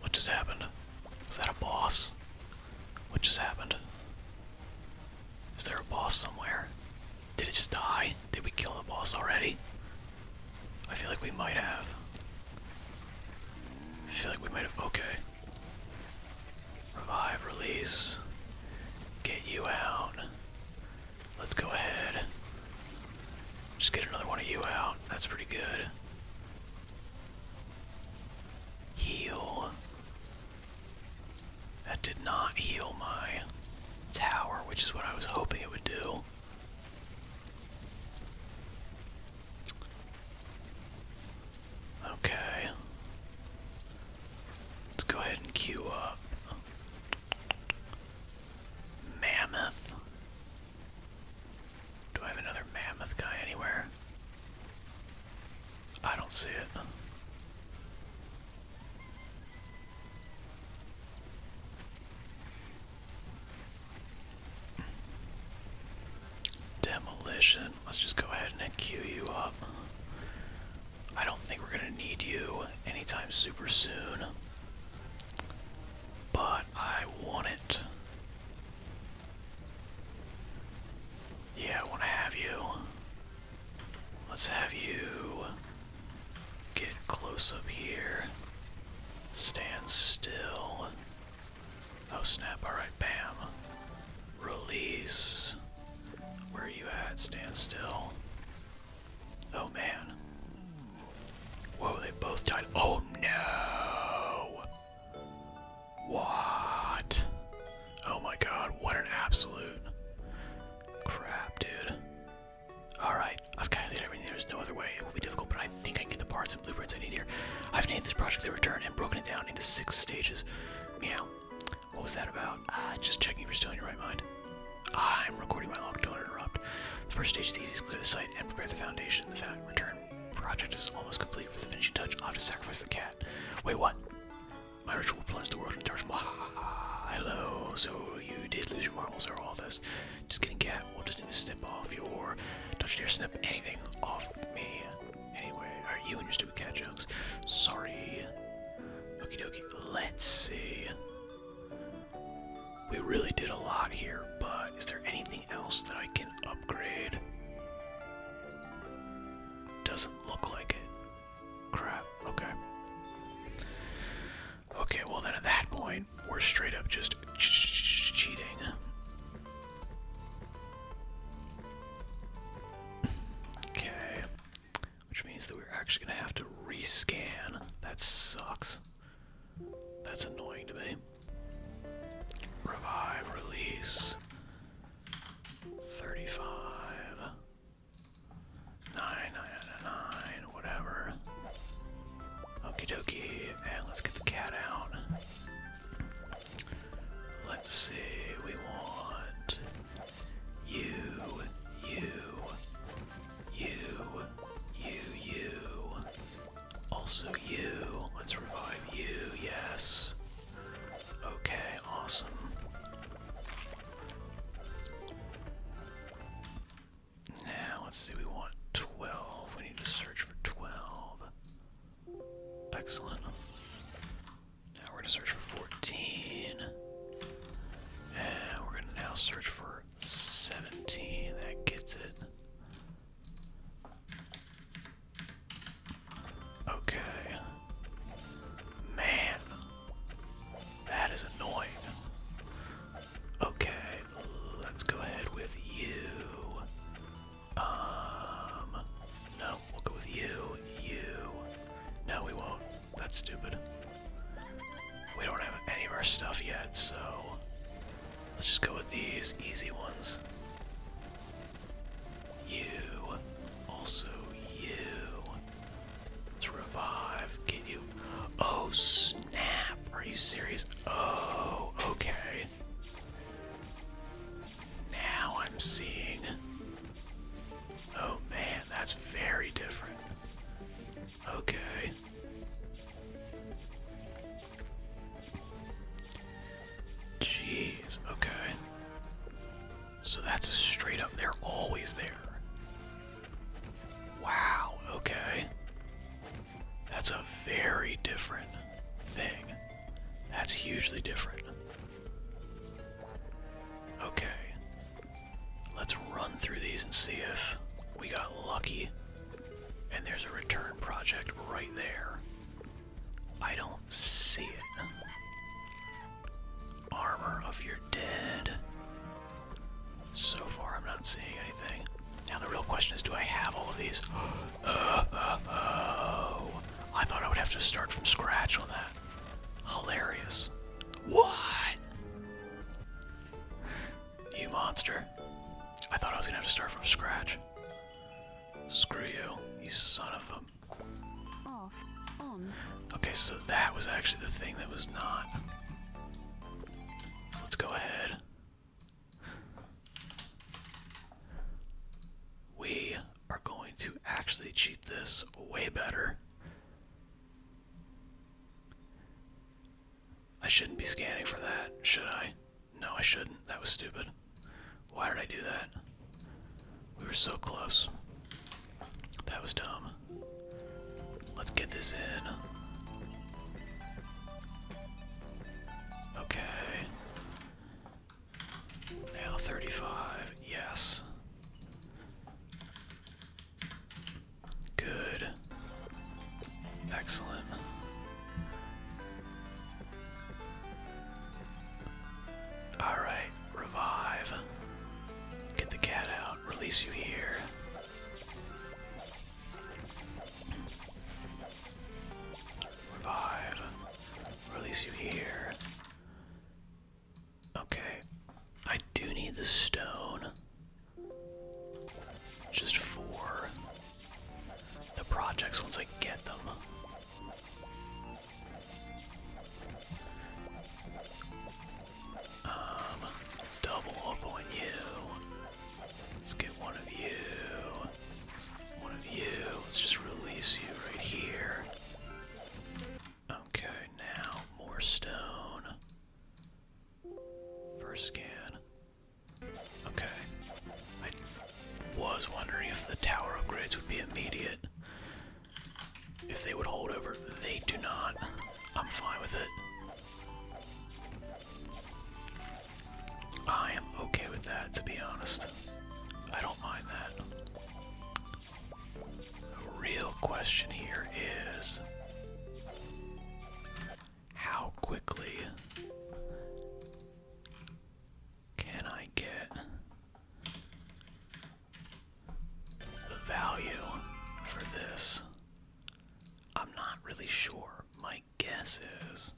What just happened? Was that a boss? What just happened? Is there a boss somewhere? Did it just die? Did we kill the boss already? I feel like we might have. I feel like we might have. Okay. Revive, release. Get you out. Let's go ahead. Just get another one of you out. That's pretty good. Heal. That did not heal my tower, which is what I was hoping it would do. Okay. Let's go ahead and queue up Mammoth. Do I have another mammoth guy anywhere? I don't see it. Demolition. Let's just go ahead and queue you up. I don't think we're going to need you anytime super soon. But I want it. Yeah, I want to have you. Let's have you get close up here. Stand still. Oh snap, alright, bam. Release. Where are you at? Stand still. Oh man. Whoa, they both died. Oh no! What? Oh my god, what an absolute crap, dude. Alright, I've calculated everything. There's no other way. It will be difficult, but I think I can get the parts and blueprints I need here. I've named this project The Return and broken it down into six stages. Meow. What was that about? Uh, just checking if you're still in your right mind. Ah, I'm recording my log, don't interrupt. The first stage is the clear the site and prepare the foundation. The found return project is almost complete with the finishing touch. I'll have to sacrifice the cat. Wait, what? My ritual plunges the world into darkness. Hello, so you did lose your marbles or all this. Just kidding, cat, we'll just need to snip off your... Don't you dare snip anything off me. Anyway, are you interested? stupid cat jokes. Sorry. Okie dokie. Let's see. We really did a lot here, but is there anything else that I can upgrade? Doesn't look like it. Crap. Okay. Okay, well then at that point, we're straight up just cheating. okay. Which means that we're actually going to have to rescan. That sucks. That's annoying to me. Revive, release. 35. 9999, whatever. Okie dokie. And let's get the cat out. Let's see, we want you, you, you, you, you. Also you. Let's revive you, yes. Okay, awesome. Now, let's see, we want 12. We need to search for 12. Excellent. Now we're gonna search for 14. And we're gonna now search for 17. That gets it. Okay. Man. That is annoying. Okay, let's go ahead with you. Um, no, we'll go with you. You. No, we won't. That's stupid. We don't have any of our stuff yet, so let's just go with these easy ones. You, also you. Let's revive. Can you? Oh snap! Are you serious? Oh, okay. Now I'm seeing Oh man, that's very different. Okay. Jeez, okay. So that's straight up, they're always there. Wow, okay. That's a very different thing. That's hugely different. Okay. Let's run through these and see if we got lucky. And there's a return project right there. I don't see it. Armor of your dead. So far, I'm not seeing anything. Now, the real question is do I have all of these? oh. I thought I would have to start from scratch on that. Hilarious. What? You monster. I thought I was gonna have to start from scratch. Screw you, you son of a. Off. On. Okay, so that was actually the thing that was not. So let's go ahead. We are going to actually cheat this way better I shouldn't be scanning for that, should I? No, I shouldn't. That was stupid. Why did I do that? We were so close. That was dumb. Let's get this in. Okay. Now 35. Yes. Good. Excellent. Alright, revive. Get the cat out. Release you here. Revive. Release you here. Okay. I do need the stone. Just for the projects once I get them. Um, double up on you. Let's get one of you. One of you. Let's just release you right here. Okay, now more stone. First scan. Okay. I was wondering if the tower upgrades would be immediate. If they would hold over. They do not. I'm fine with it. I am okay with that, to be honest. I don't mind that. The real question here is how quickly can I get the value for this? I'm not really sure. My guess is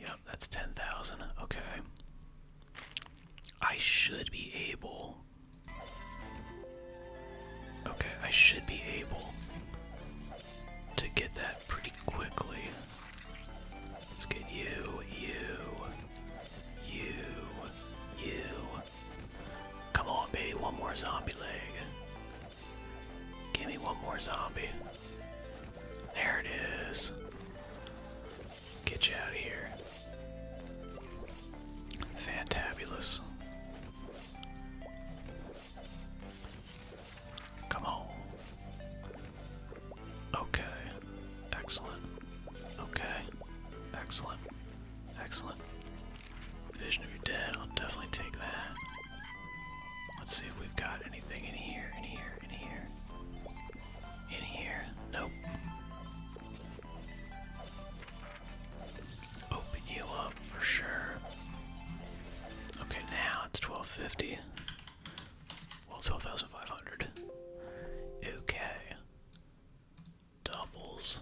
Yep, that's 10,000. Okay. I should be able. Okay, I should be able to get that pretty quickly. Let's get you, you, you, you. Come on, baby, one more zombie leg. Give me one more zombie. There it is. Get you out of here. Fantabulous. Come on. Okay. Excellent. Okay. Excellent. Excellent. Vision of your dead, I'll definitely take that. Let's see if we've got anything in here, in here, in here. In here? Nope. Open you up for sure. Okay, now it's 1250. Well, 12,500. Okay. Doubles.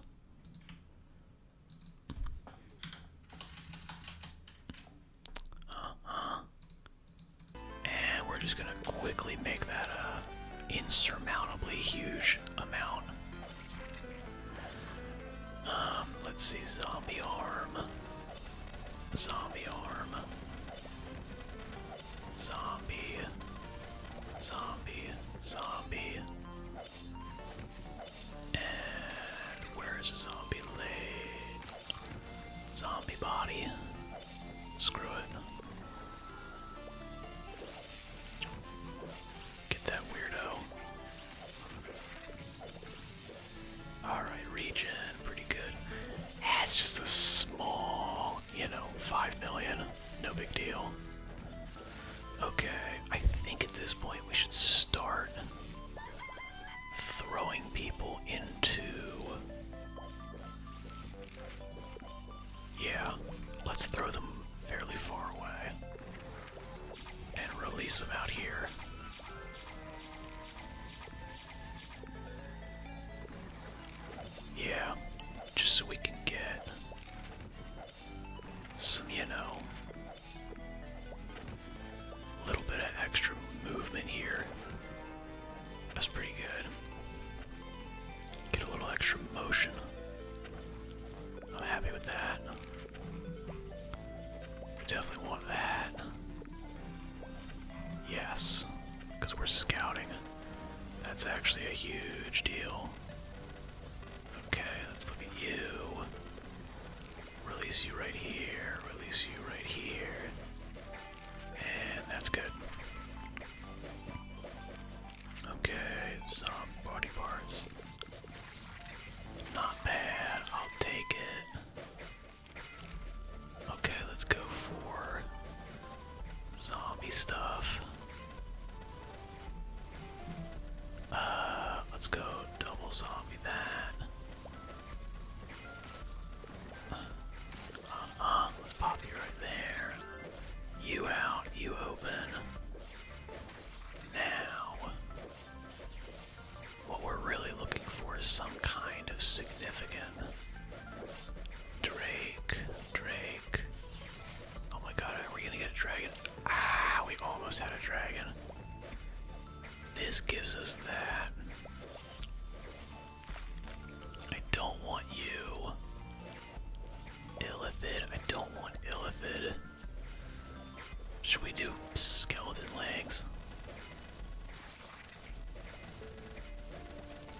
Uh huh. And we're just gonna quickly make that a insurmountably huge amount. Um, let's see, zombie arm. Zombie arm. Zombie. Zombie. Zombie. And where's the zombie leg? Zombie body. Screw it. Get that weirdo. Alright, region, pretty good. Ah, just a small, you know, 5 million. No big deal. Okay, I think at this point we should start throwing people into yeah, let's throw them fairly far away and release them out here. Yeah, just so we can get some, you know, little bit of extra movement here. That's pretty good. Get a little extra motion. I'm happy with that. definitely want that. Yes, because we're scouting. That's actually a huge deal. Okay, let's look at you. Release you right here, release you right here. And that's good. Okay, some body parts. Not bad, I'll take it. Okay, let's go for zombie stuff. Uh, let's go double zombie that. Uh, let's pop you right there. You out, you open. Now, what we're really looking for is some kind of significant Drake, Drake. Oh my god, are we gonna get a dragon? Ah, we almost had a dragon. This gives us that. I don't want you. Illithid, I don't want Illithid. Should we do skeleton legs?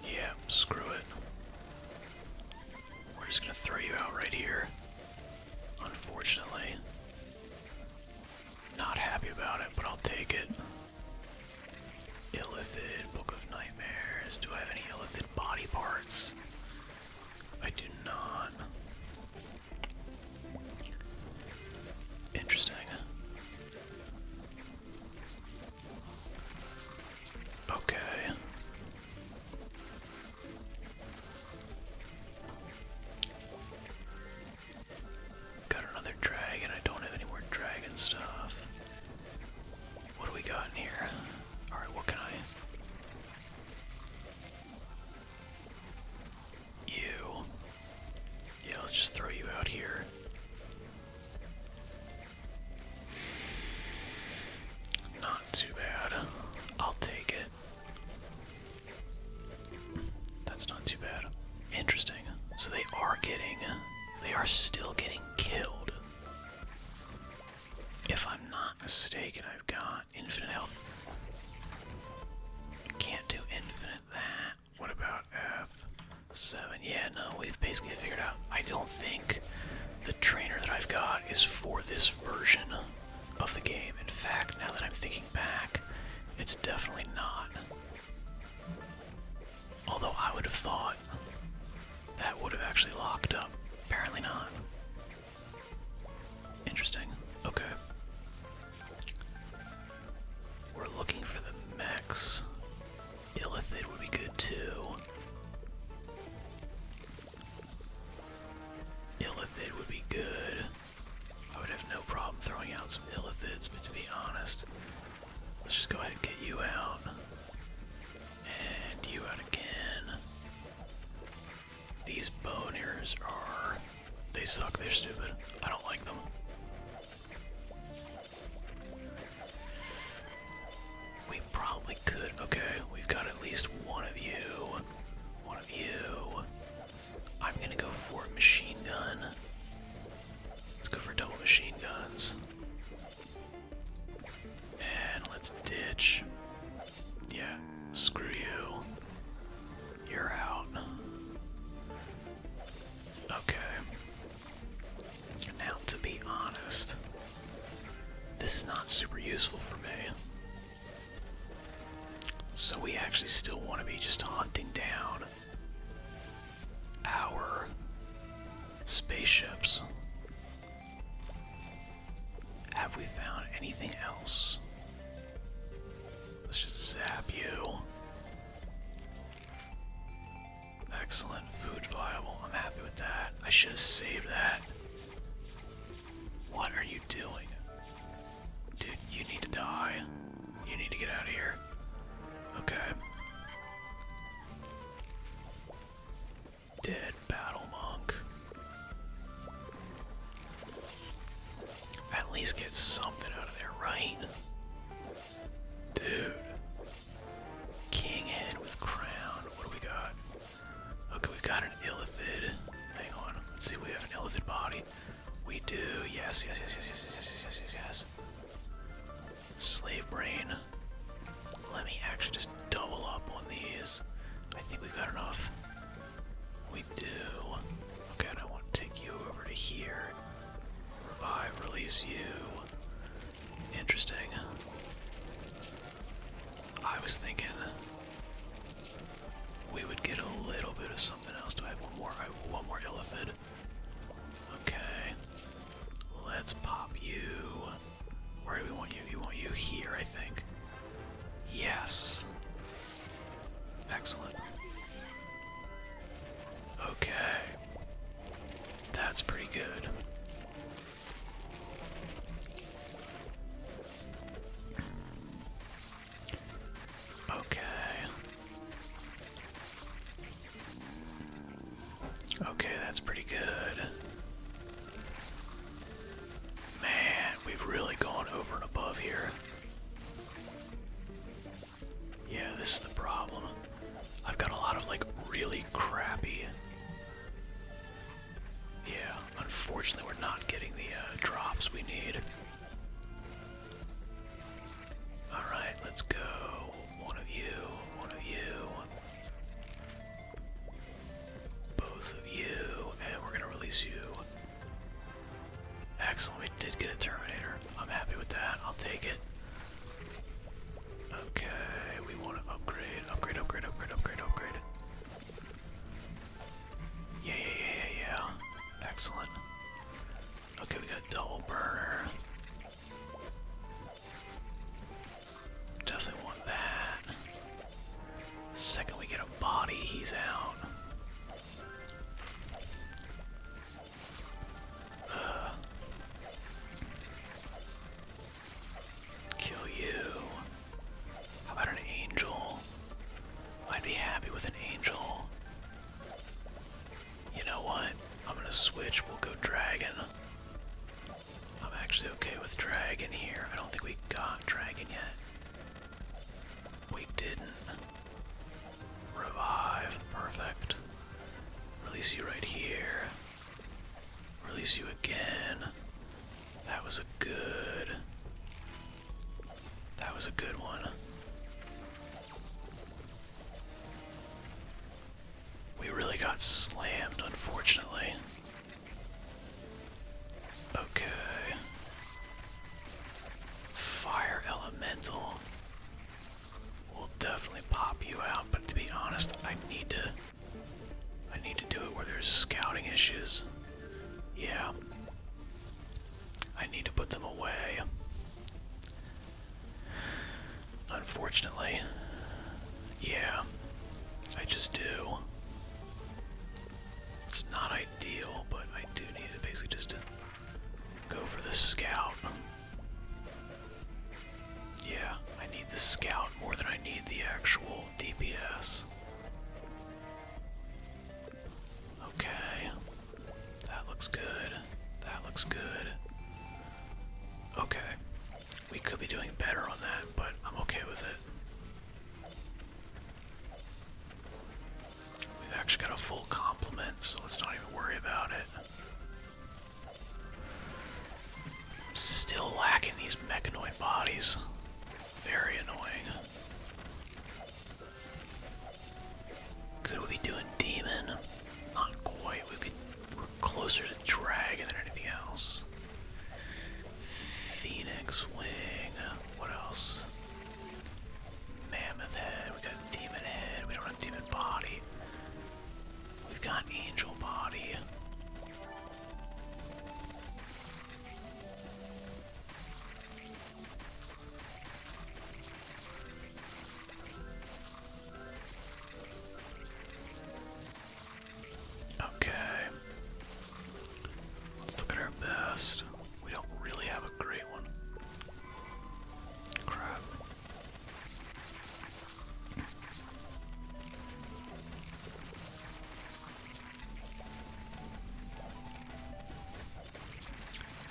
Yeah, screw it. We're just gonna throw you out right here. Unfortunately. Not happy about it, but I'll take it. Illithid, Book of Nightmares. Do I have any Illithid body parts? I do not. Interesting. Okay. Got another dragon. I don't have any more dragon stuff. What do we got in here? Alright, what can I. You. Yeah, let's just throw you out here. Not too bad. I'll take it. That's not too bad. Interesting. So they are getting. They are still getting killed. If I'm not mistaken, I've got infinite health. Can't do infinite that. What about F7? Yeah, no, we've basically figured out. I don't think the trainer that I've got is for this version of the game. In fact, now that I'm thinking back, it's definitely not. Although I would have thought that would have actually locked up. Apparently not. Interesting. Okay. We're looking for the max. Illithid would be good too. Illithid would be good. I would have no problem throwing out some Illithids, but to be honest, Let's just go ahead and get you out. And you out again. These boners are. They suck, they're stupid. I don't like them. We probably could. Okay, we've got at least one of you. One of you. I'm gonna go for a machine gun. Let's go for double machine guns. And let's ditch. Yeah, screw you. You're out. Okay. Now, to be honest, this is not super useful for me. So, we actually still want to be just hunting down our spaceships. Have we found anything else? Let's just zap you. Excellent. Food viable. I'm happy with that. I should have saved that. What are you doing? Dude, you need to die. You need to get out of here. Okay. Dead battle monk. At least get something out of there, right? Dude. King head with crown. What do we got? Okay, we got an illithid. Hang on. Let's see if we have an illithid body. We do. Yes, yes, yes, yes, yes, yes, yes, yes, yes, yes. Slave brain. Let me actually just double up on these. I think we've got enough. We do. Okay, I want to take you over to here. Revive, release you. Interesting. I was thinking we would get a little bit of something else. Do I have one more? one more elephant. Okay. Let's pop you. Where do we want you? You want you here, I think. Yes. Excellent. Okay. That's pretty good. Okay. Okay, that's pretty good. Man, we've really gone over and above here. Yeah, this is the problem. I've got a lot of like really crappy. Yeah, unfortunately, we're not getting the uh, drops we need. Alright, let's go. One of you, one of you. Both of you, and we're gonna release you. Excellent, we did get a Terminator. I'm happy with that. I'll take it. Okay, we want to upgrade, upgrade, upgrade, upgrade, upgrade, upgrade. Yeah, yeah, yeah, yeah, Excellent. Okay, we got double burner. Definitely want that. The second we get a body, he's out. kill you. How about an angel? I'd be happy with an angel. You know what? I'm gonna switch. We'll go dragon. I'm actually okay with dragon here. I don't think we got dragon yet. We didn't. Revive. Perfect. Release you right here. Release you again. That was a good. That was a good one. We really got slammed, unfortunately. Okay. Fire elemental. will definitely pop you out, but to be honest, I need to I need to do it where there's scouting issues. Yeah. I need to put them away. Unfortunately, yeah, I just do. It's not ideal, but I do need to basically just go for the scout. Yeah, I need the scout more than I need the actual DPS. Okay, that looks good. That looks good. Okay, we could be doing better on that, but I'm okay with it. We've actually got a full complement, so let's not even worry about it. still lacking these mechanoid bodies. Very annoying. Could we be doing demon? Not quite. We could we're closer to dragon than anything else. Phoenix wing. What else? Mammoth head. We got demon head. We don't have demon body. We've got angel body. Okay. Let's look at our best. We don't really have a great one. Crap.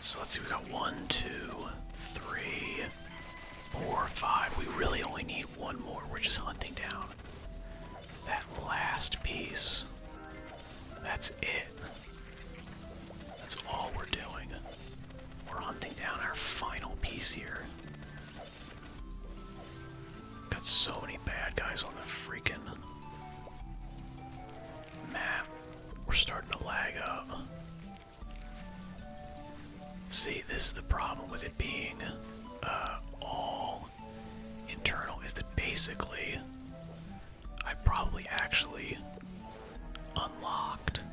So let's see, we got one, two, three, four, five. We really only need one more. We're just hunting down that last piece. That's it. That's all we're doing. We're hunting down our final piece here. Got so many bad guys on the freaking map. We're starting to lag up. See, this is the problem with it being uh, all internal is that basically I probably actually unlocked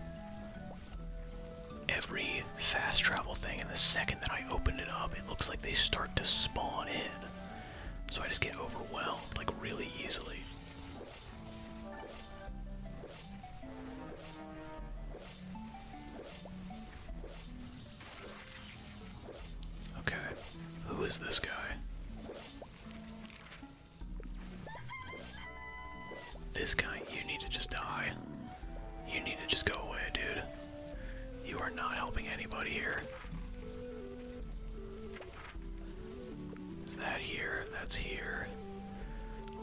every fast travel thing, and the second that I opened it up, it looks like they start to spawn in. So I just get overwhelmed, like, really easily. Okay, who is this guy? This guy, you need to just die. You need to just go away, dude. You are not helping anybody here. Is that here? That's here.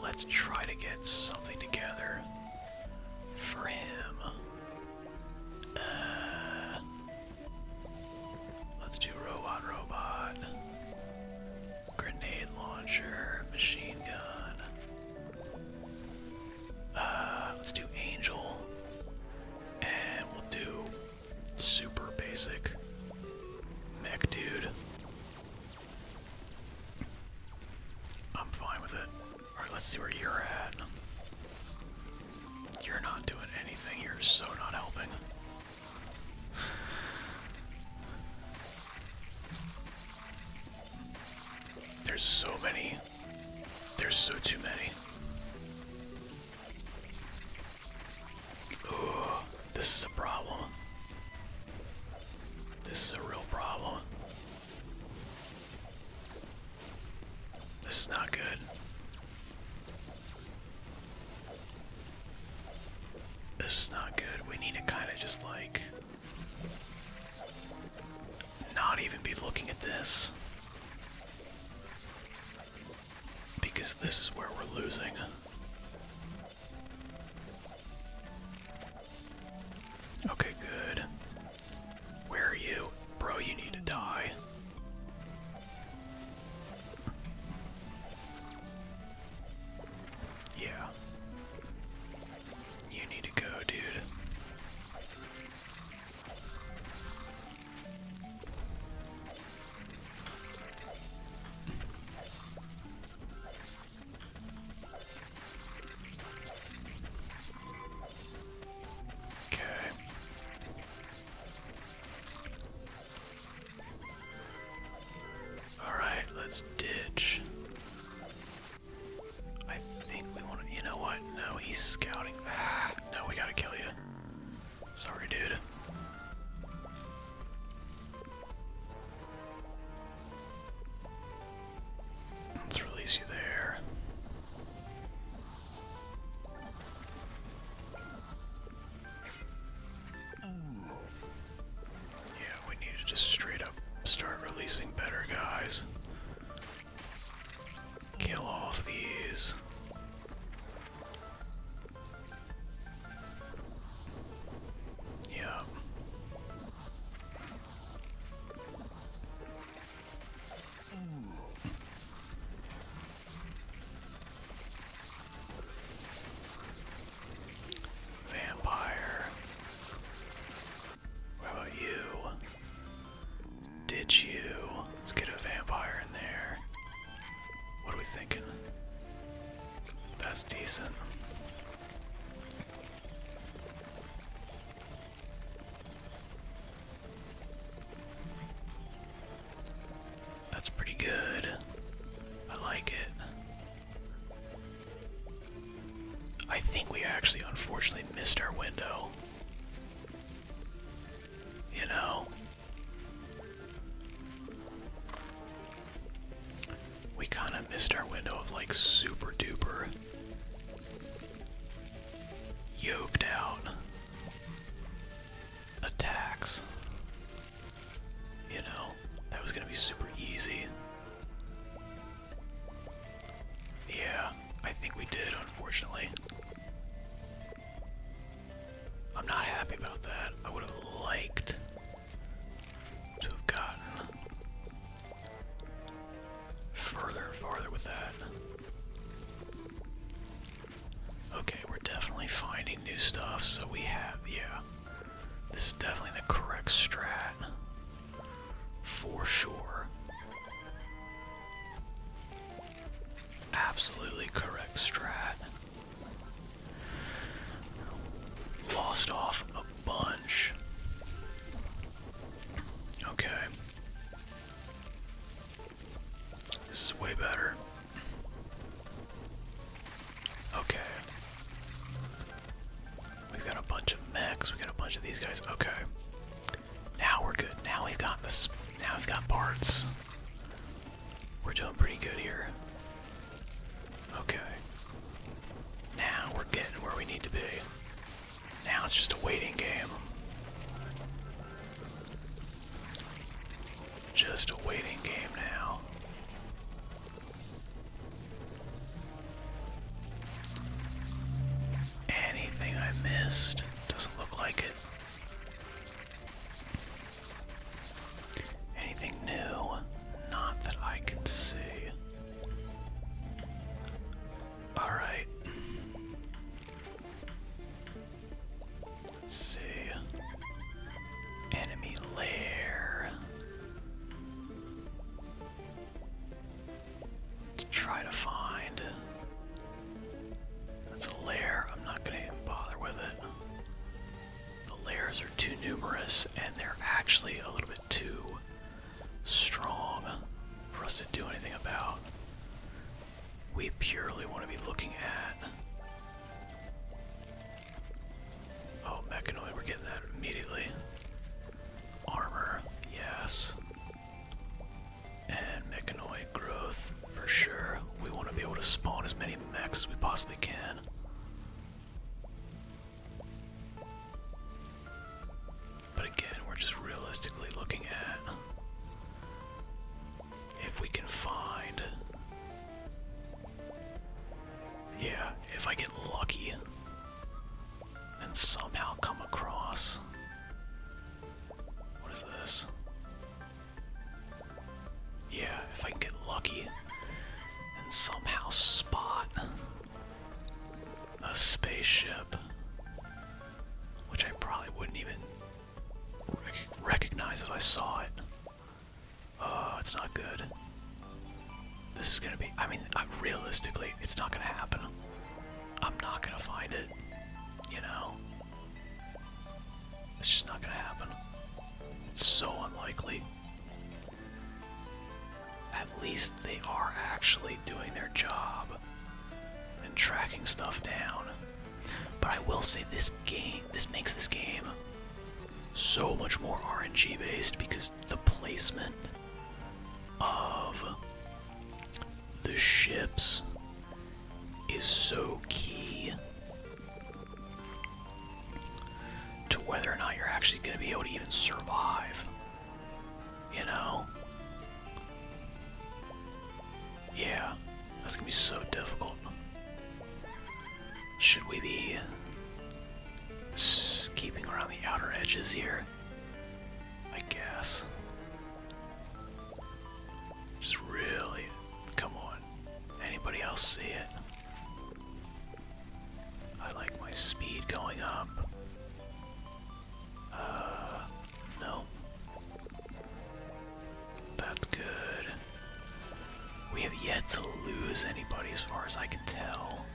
Let's try to get something together for him. Uh, let's do robot, robot, grenade launcher, machine gun. Uh, let's do angel, and we'll do super basic mech dude. I'm fine with it. Alright, let's see where you're at. You're not doing anything, you're so not helping. There's so many. There's so too many. Ooh, this is a problem. This is a real problem. This is not good. This is not good. We need to kind of just like not even be looking at this. Because this is where we're losing. Okay, good. Where are you? Bro, you need to die. Yeah. You need to go, dude. Okay. Alright, let's ditch. I think we want to. You know what? No, he's scouting. Ah, no, we gotta kill you. Sorry, dude. Let's release you there. Yeah, we need to just straight up start releasing better guys. Kill off these. Yeah. Vampire. What about you? Did you? Let's get a vampire in there. What are we thinking? That's decent. That's pretty good. I like it. I think we actually unfortunately missed our window. You know? We kind of missed our window of like super duper yoked out attacks. You know, that was gonna be super easy. Yeah, I think we did, unfortunately. I'm not happy about that. I would have liked to have gotten further and farther with that. Okay, we're definitely finding new stuff, so we have, yeah. This is definitely the correct strat. For sure. Absolutely correct strat. Lost off a bunch. Okay. This is way better. Okay. We've got a bunch of mechs. We got a bunch of these guys. Okay. Now we're good. Now we've got this. Now we've got parts. We're doing pretty good here. Okay. Now we're getting where we need to be. Now it's just a waiting game. Just a waiting game now. Anything I missed doesn't look like it. Anything new? Not that I can see. Alright. Let's see. Enemy lair. Let's try to find. That's a lair. I'm not gonna bother with it. The layers are too numerous and they're actually a little bit too strong for us to do anything about. We purely want to be looking at. Oh, mechanoid, we're getting that immediately. Armor, yes. And mechanoid growth, for sure. We want to be able to spawn as many mechs as we possibly can. But again, we're just realistically looking at if we can find. Yeah, if I get lucky and somehow come across. What is this? Yeah, if I get lucky and somehow spot a spaceship which I probably wouldn't even recognize if I saw it. Oh, it's not good. This is gonna be, I mean, uh, realistically, it's not gonna happen. I'm not gonna find it, you know? It's just not gonna happen. It's so unlikely. At least they are actually doing their job and tracking stuff down. But I will say this game, this makes this game so much more RNG based because the placement of the ships is so key to whether or not you're actually going to be able to even survive you know? Yeah, that's gonna be so difficult. Should we be keeping around the outer edges here? I guess. Just really, come on. Anybody else see it? I like my speed going up. Uh, no. That's good. We have yet to lose anybody as far as I can tell.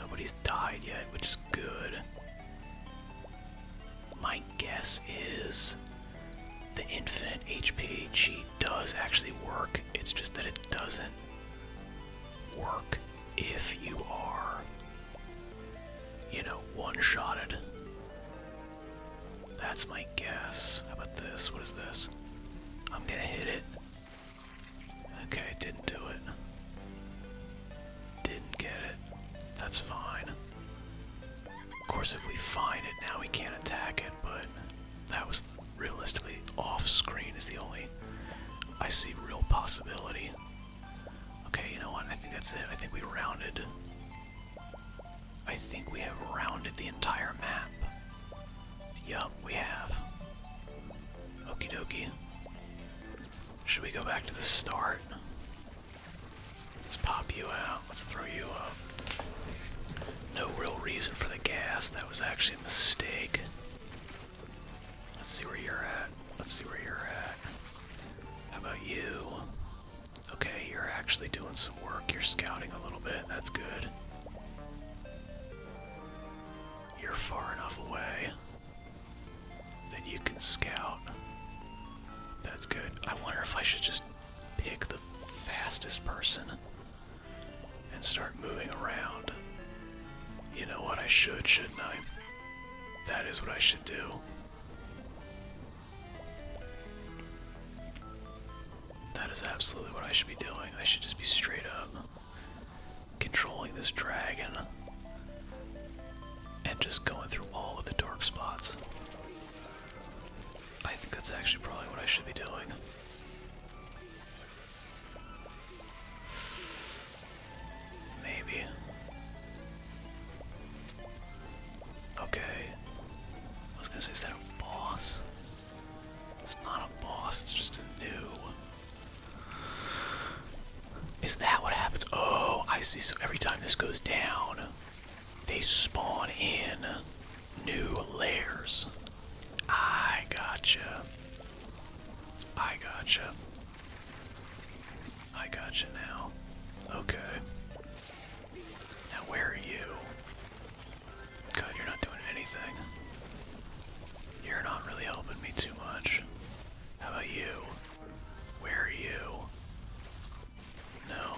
Nobody's died yet, which is good. My guess is the infinite HP cheat does actually work. It's just that it doesn't work if you are you know, one-shotted. That's my guess. How about this? What is this? I'm gonna hit it. Okay, didn't do it. Didn't get it. That's fine. Of course, if we find it now, we can't attack it, but that was realistically off screen, is the only I see real possibility. Okay, you know what? I think that's it. I think we rounded. I think we have rounded the entire map. Yup, we have. Okey dokey. Should we go back to the start? Let's pop you out. Let's throw you up. No real reason for the gas. That was actually a mistake. Let's see where you're at. Let's see where you're at. How about you? Okay, you're actually doing some work. You're scouting a little bit. That's good. You're far enough away that you can scout. That's good. I wonder if I should just pick the fastest person and start moving around. You know what I should, shouldn't I? That is what I should do. That is absolutely what I should be doing. I should just be straight up controlling this dragon and just going through all of the dark spots. I think that's actually probably what I should be doing. Maybe. Okay. I was gonna say, is that a boss? It's not a boss, it's just a new. Is that what happens? Oh, I see. So every time this goes down, they spawn in new layers. I gotcha. I gotcha. I got you now. Okay. Now where are you? God, you're not doing anything. You're not really helping me too much. How about you? Where are you? No.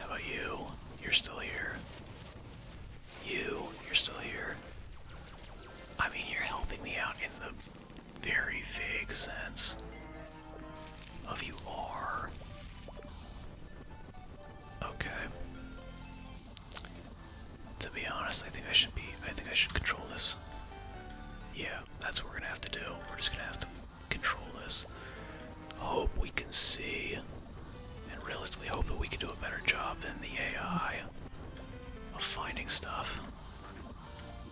How about you? You're still here. You, you're still here. I mean, you're helping me out in the very vague sense of you are. Okay. To be honest, I think I should be. I think I should control this. Yeah, that's what we're gonna have to do. We're just gonna have to control this. Hope we can see, and realistically, hope that we can do a better job than the AI of finding stuff.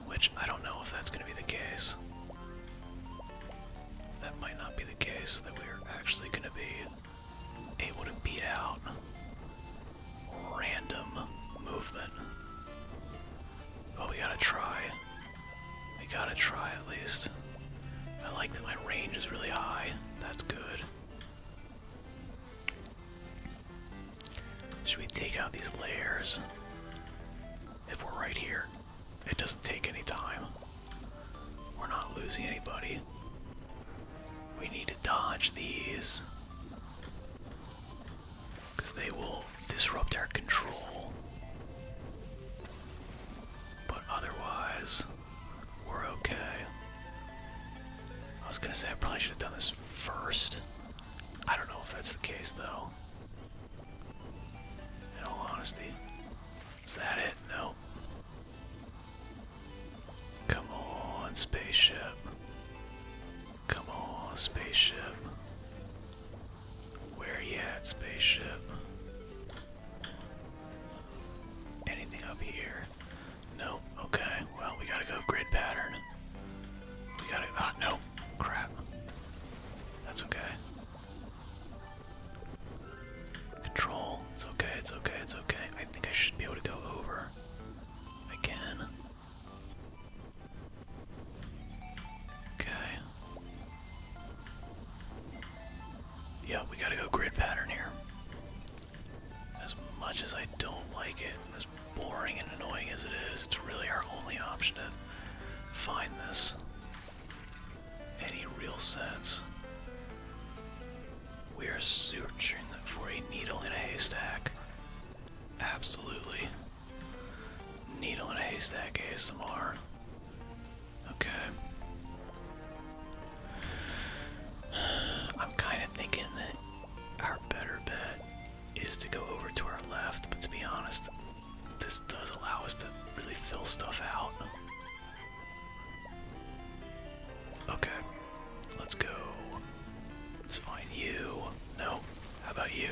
Which I don't know if that's going to be the case. That might not be the case, that we're actually going to be able to beat out random movement. But we gotta try. We gotta try at least. I like that my range is really high. That's good. Should we take out these layers? if we're right here. It doesn't take any time. We're not losing anybody. We need to dodge these. Because they will disrupt our control. But otherwise, we're okay. I was gonna say I probably should have done this first. I don't know if that's the case though. In all honesty. Is that it? No. Come on, spaceship. Come on, spaceship. Where you at, spaceship? Anything up here? No. Okay. Well, we gotta go grid pattern. We got it. Ah, no. Crap. That's okay. Control. It's okay, it's okay, it's okay. I think I should be able to go over. I can. Okay. Yeah, we gotta go grid pattern here. As much as I don't like it, as boring and annoying as it is, it's really our only option find this. Any real sense. We are searching for a needle in a haystack. Absolutely. Needle in a haystack ASMR. Okay. I'm kind of thinking that our better bet is to go over to our left, but to be honest, this does allow us to really fill stuff out. Okay, let's go. Let's find you. No, how about you?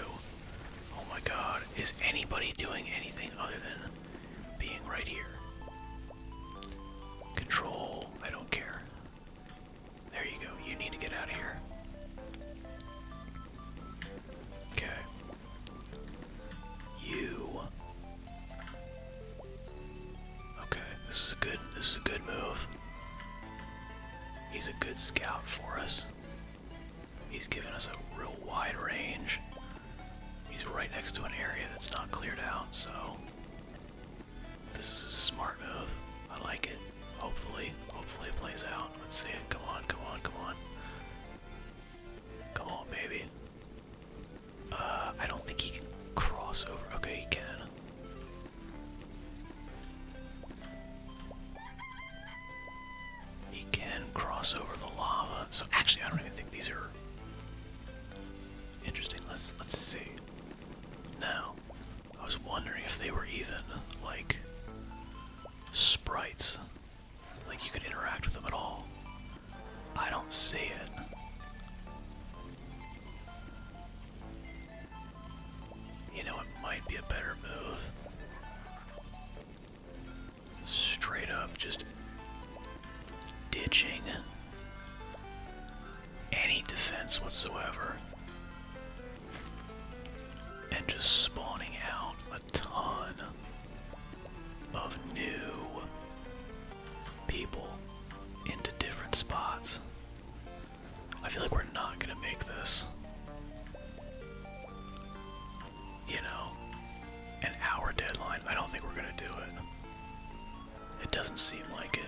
Oh my god, is anybody doing anything other than being right here? Control, I don't care. There you go, you need to get out of here. Okay, you. Okay, this is a good this is a good move. He's a good scout for us. He's giving us a real wide range. He's right next to an area that's not cleared out, so this is a smart move. I like it. Hopefully, hopefully it plays out. Let's see it. Come on, come on, come on. Come on, baby. Uh, I don't think he can cross over. Okay, he can. He can cross over the lava. So actually, I don't even think these are interesting. Let's let's see. Now, I was wondering if they were even like sprites like you can interact with them at all. I don't see it. You know, it might be a better move. Straight up, just ditching any defense whatsoever and just spawning out ton of new people into different spots. I feel like we're not gonna make this. You know, an hour deadline. I don't think we're gonna do it. It doesn't seem like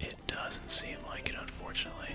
it. It doesn't seem like it, unfortunately.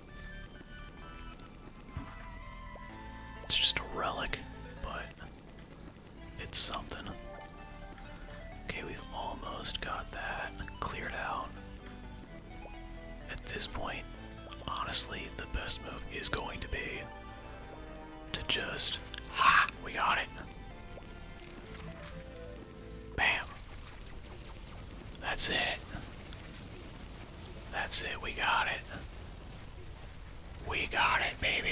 It's just a relic, but it's something. Okay, we've almost got that cleared out. At this point, honestly, the best move is going to be to just. We got it! Bam! That's it. That's it, we got it. We got it, baby.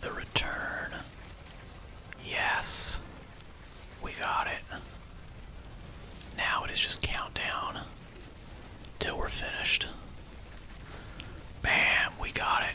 The return. Yes. We got it. Now it is just countdown till we're finished. Bam, we got it.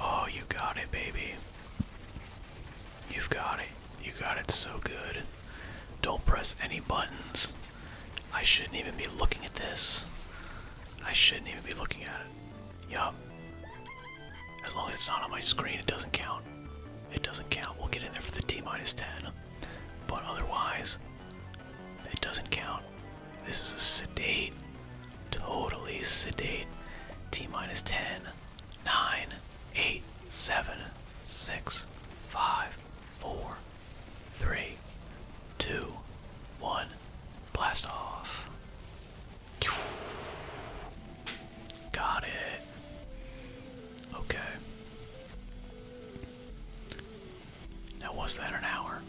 Oh, you got it, baby. You've got it. You got it so good. Don't press any buttons. I shouldn't even be looking at this. I shouldn't even be looking at it. Yup. As long as it's not on my screen, it doesn't count. It doesn't count. We'll get in there for the T minus 10. But otherwise, it doesn't count. This is a sedate, totally sedate. T minus 10, 9, 8, 7, 6, 5, 4, 3, 2, 1. Blast off. Got it. Okay. Now, was that an hour?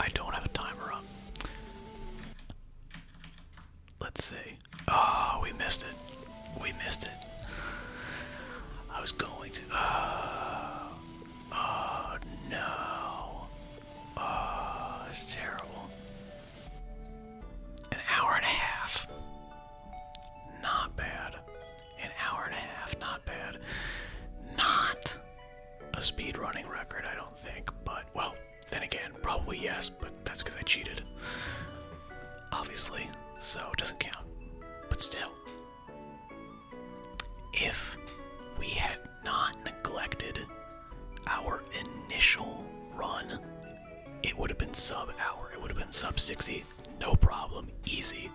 I don't have a timer up. Let's see. Oh, we missed it. We missed it. I was going to. Oh, oh no. Oh, it's terrible. An hour and a half. Not bad. An hour and a half. Not bad. Not a speed running record, I don't think, but well, then again, probably yes, but that's because I cheated. Obviously, so it doesn't count. But still, if we had not neglected our initial run, it would have been sub hour. It would have been sub 60. No problem. Easy.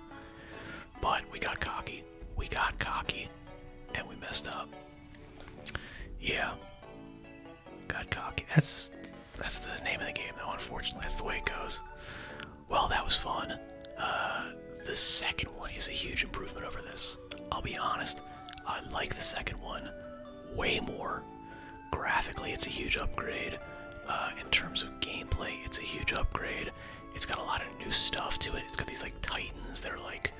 But we got cocky. We got cocky. And we messed up. Yeah. Got cocky. That's that's the name of the game though, unfortunately. That's the way it goes. Well, that was fun. Uh, the second one is a huge improvement over this. I'll be honest, I like the second one way more. Graphically, it's a huge upgrade. Uh, in terms of gameplay, it's a huge upgrade. It's got a lot of new stuff to it. It's got these like titans that are like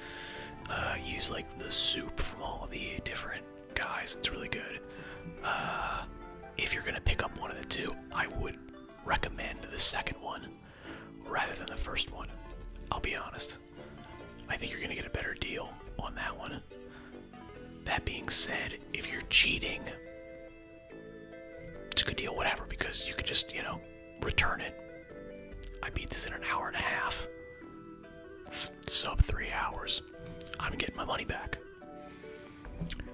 uh, use like the soup from all the different guys. It's really good. Uh, if you're gonna pick up one of the two, I would recommend the second one rather than the first one. I'll be honest. I think you're gonna get a better deal on that one. That being said, if you're cheating, it's a good deal, whatever, because you could just, you know, return it. I beat this in an hour and a half. sub three hours. I'm getting my money back.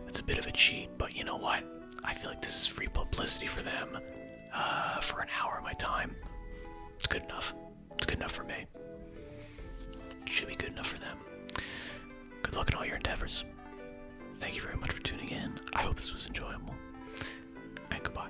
It's a bit of a cheat, but you know what? I feel like this is free publicity for them uh, for an hour of my time. It's good enough. It's good enough for me. Should be good enough for them. Good luck in all your endeavors. Thank you very much for tuning in. I hope this was enjoyable. And goodbye.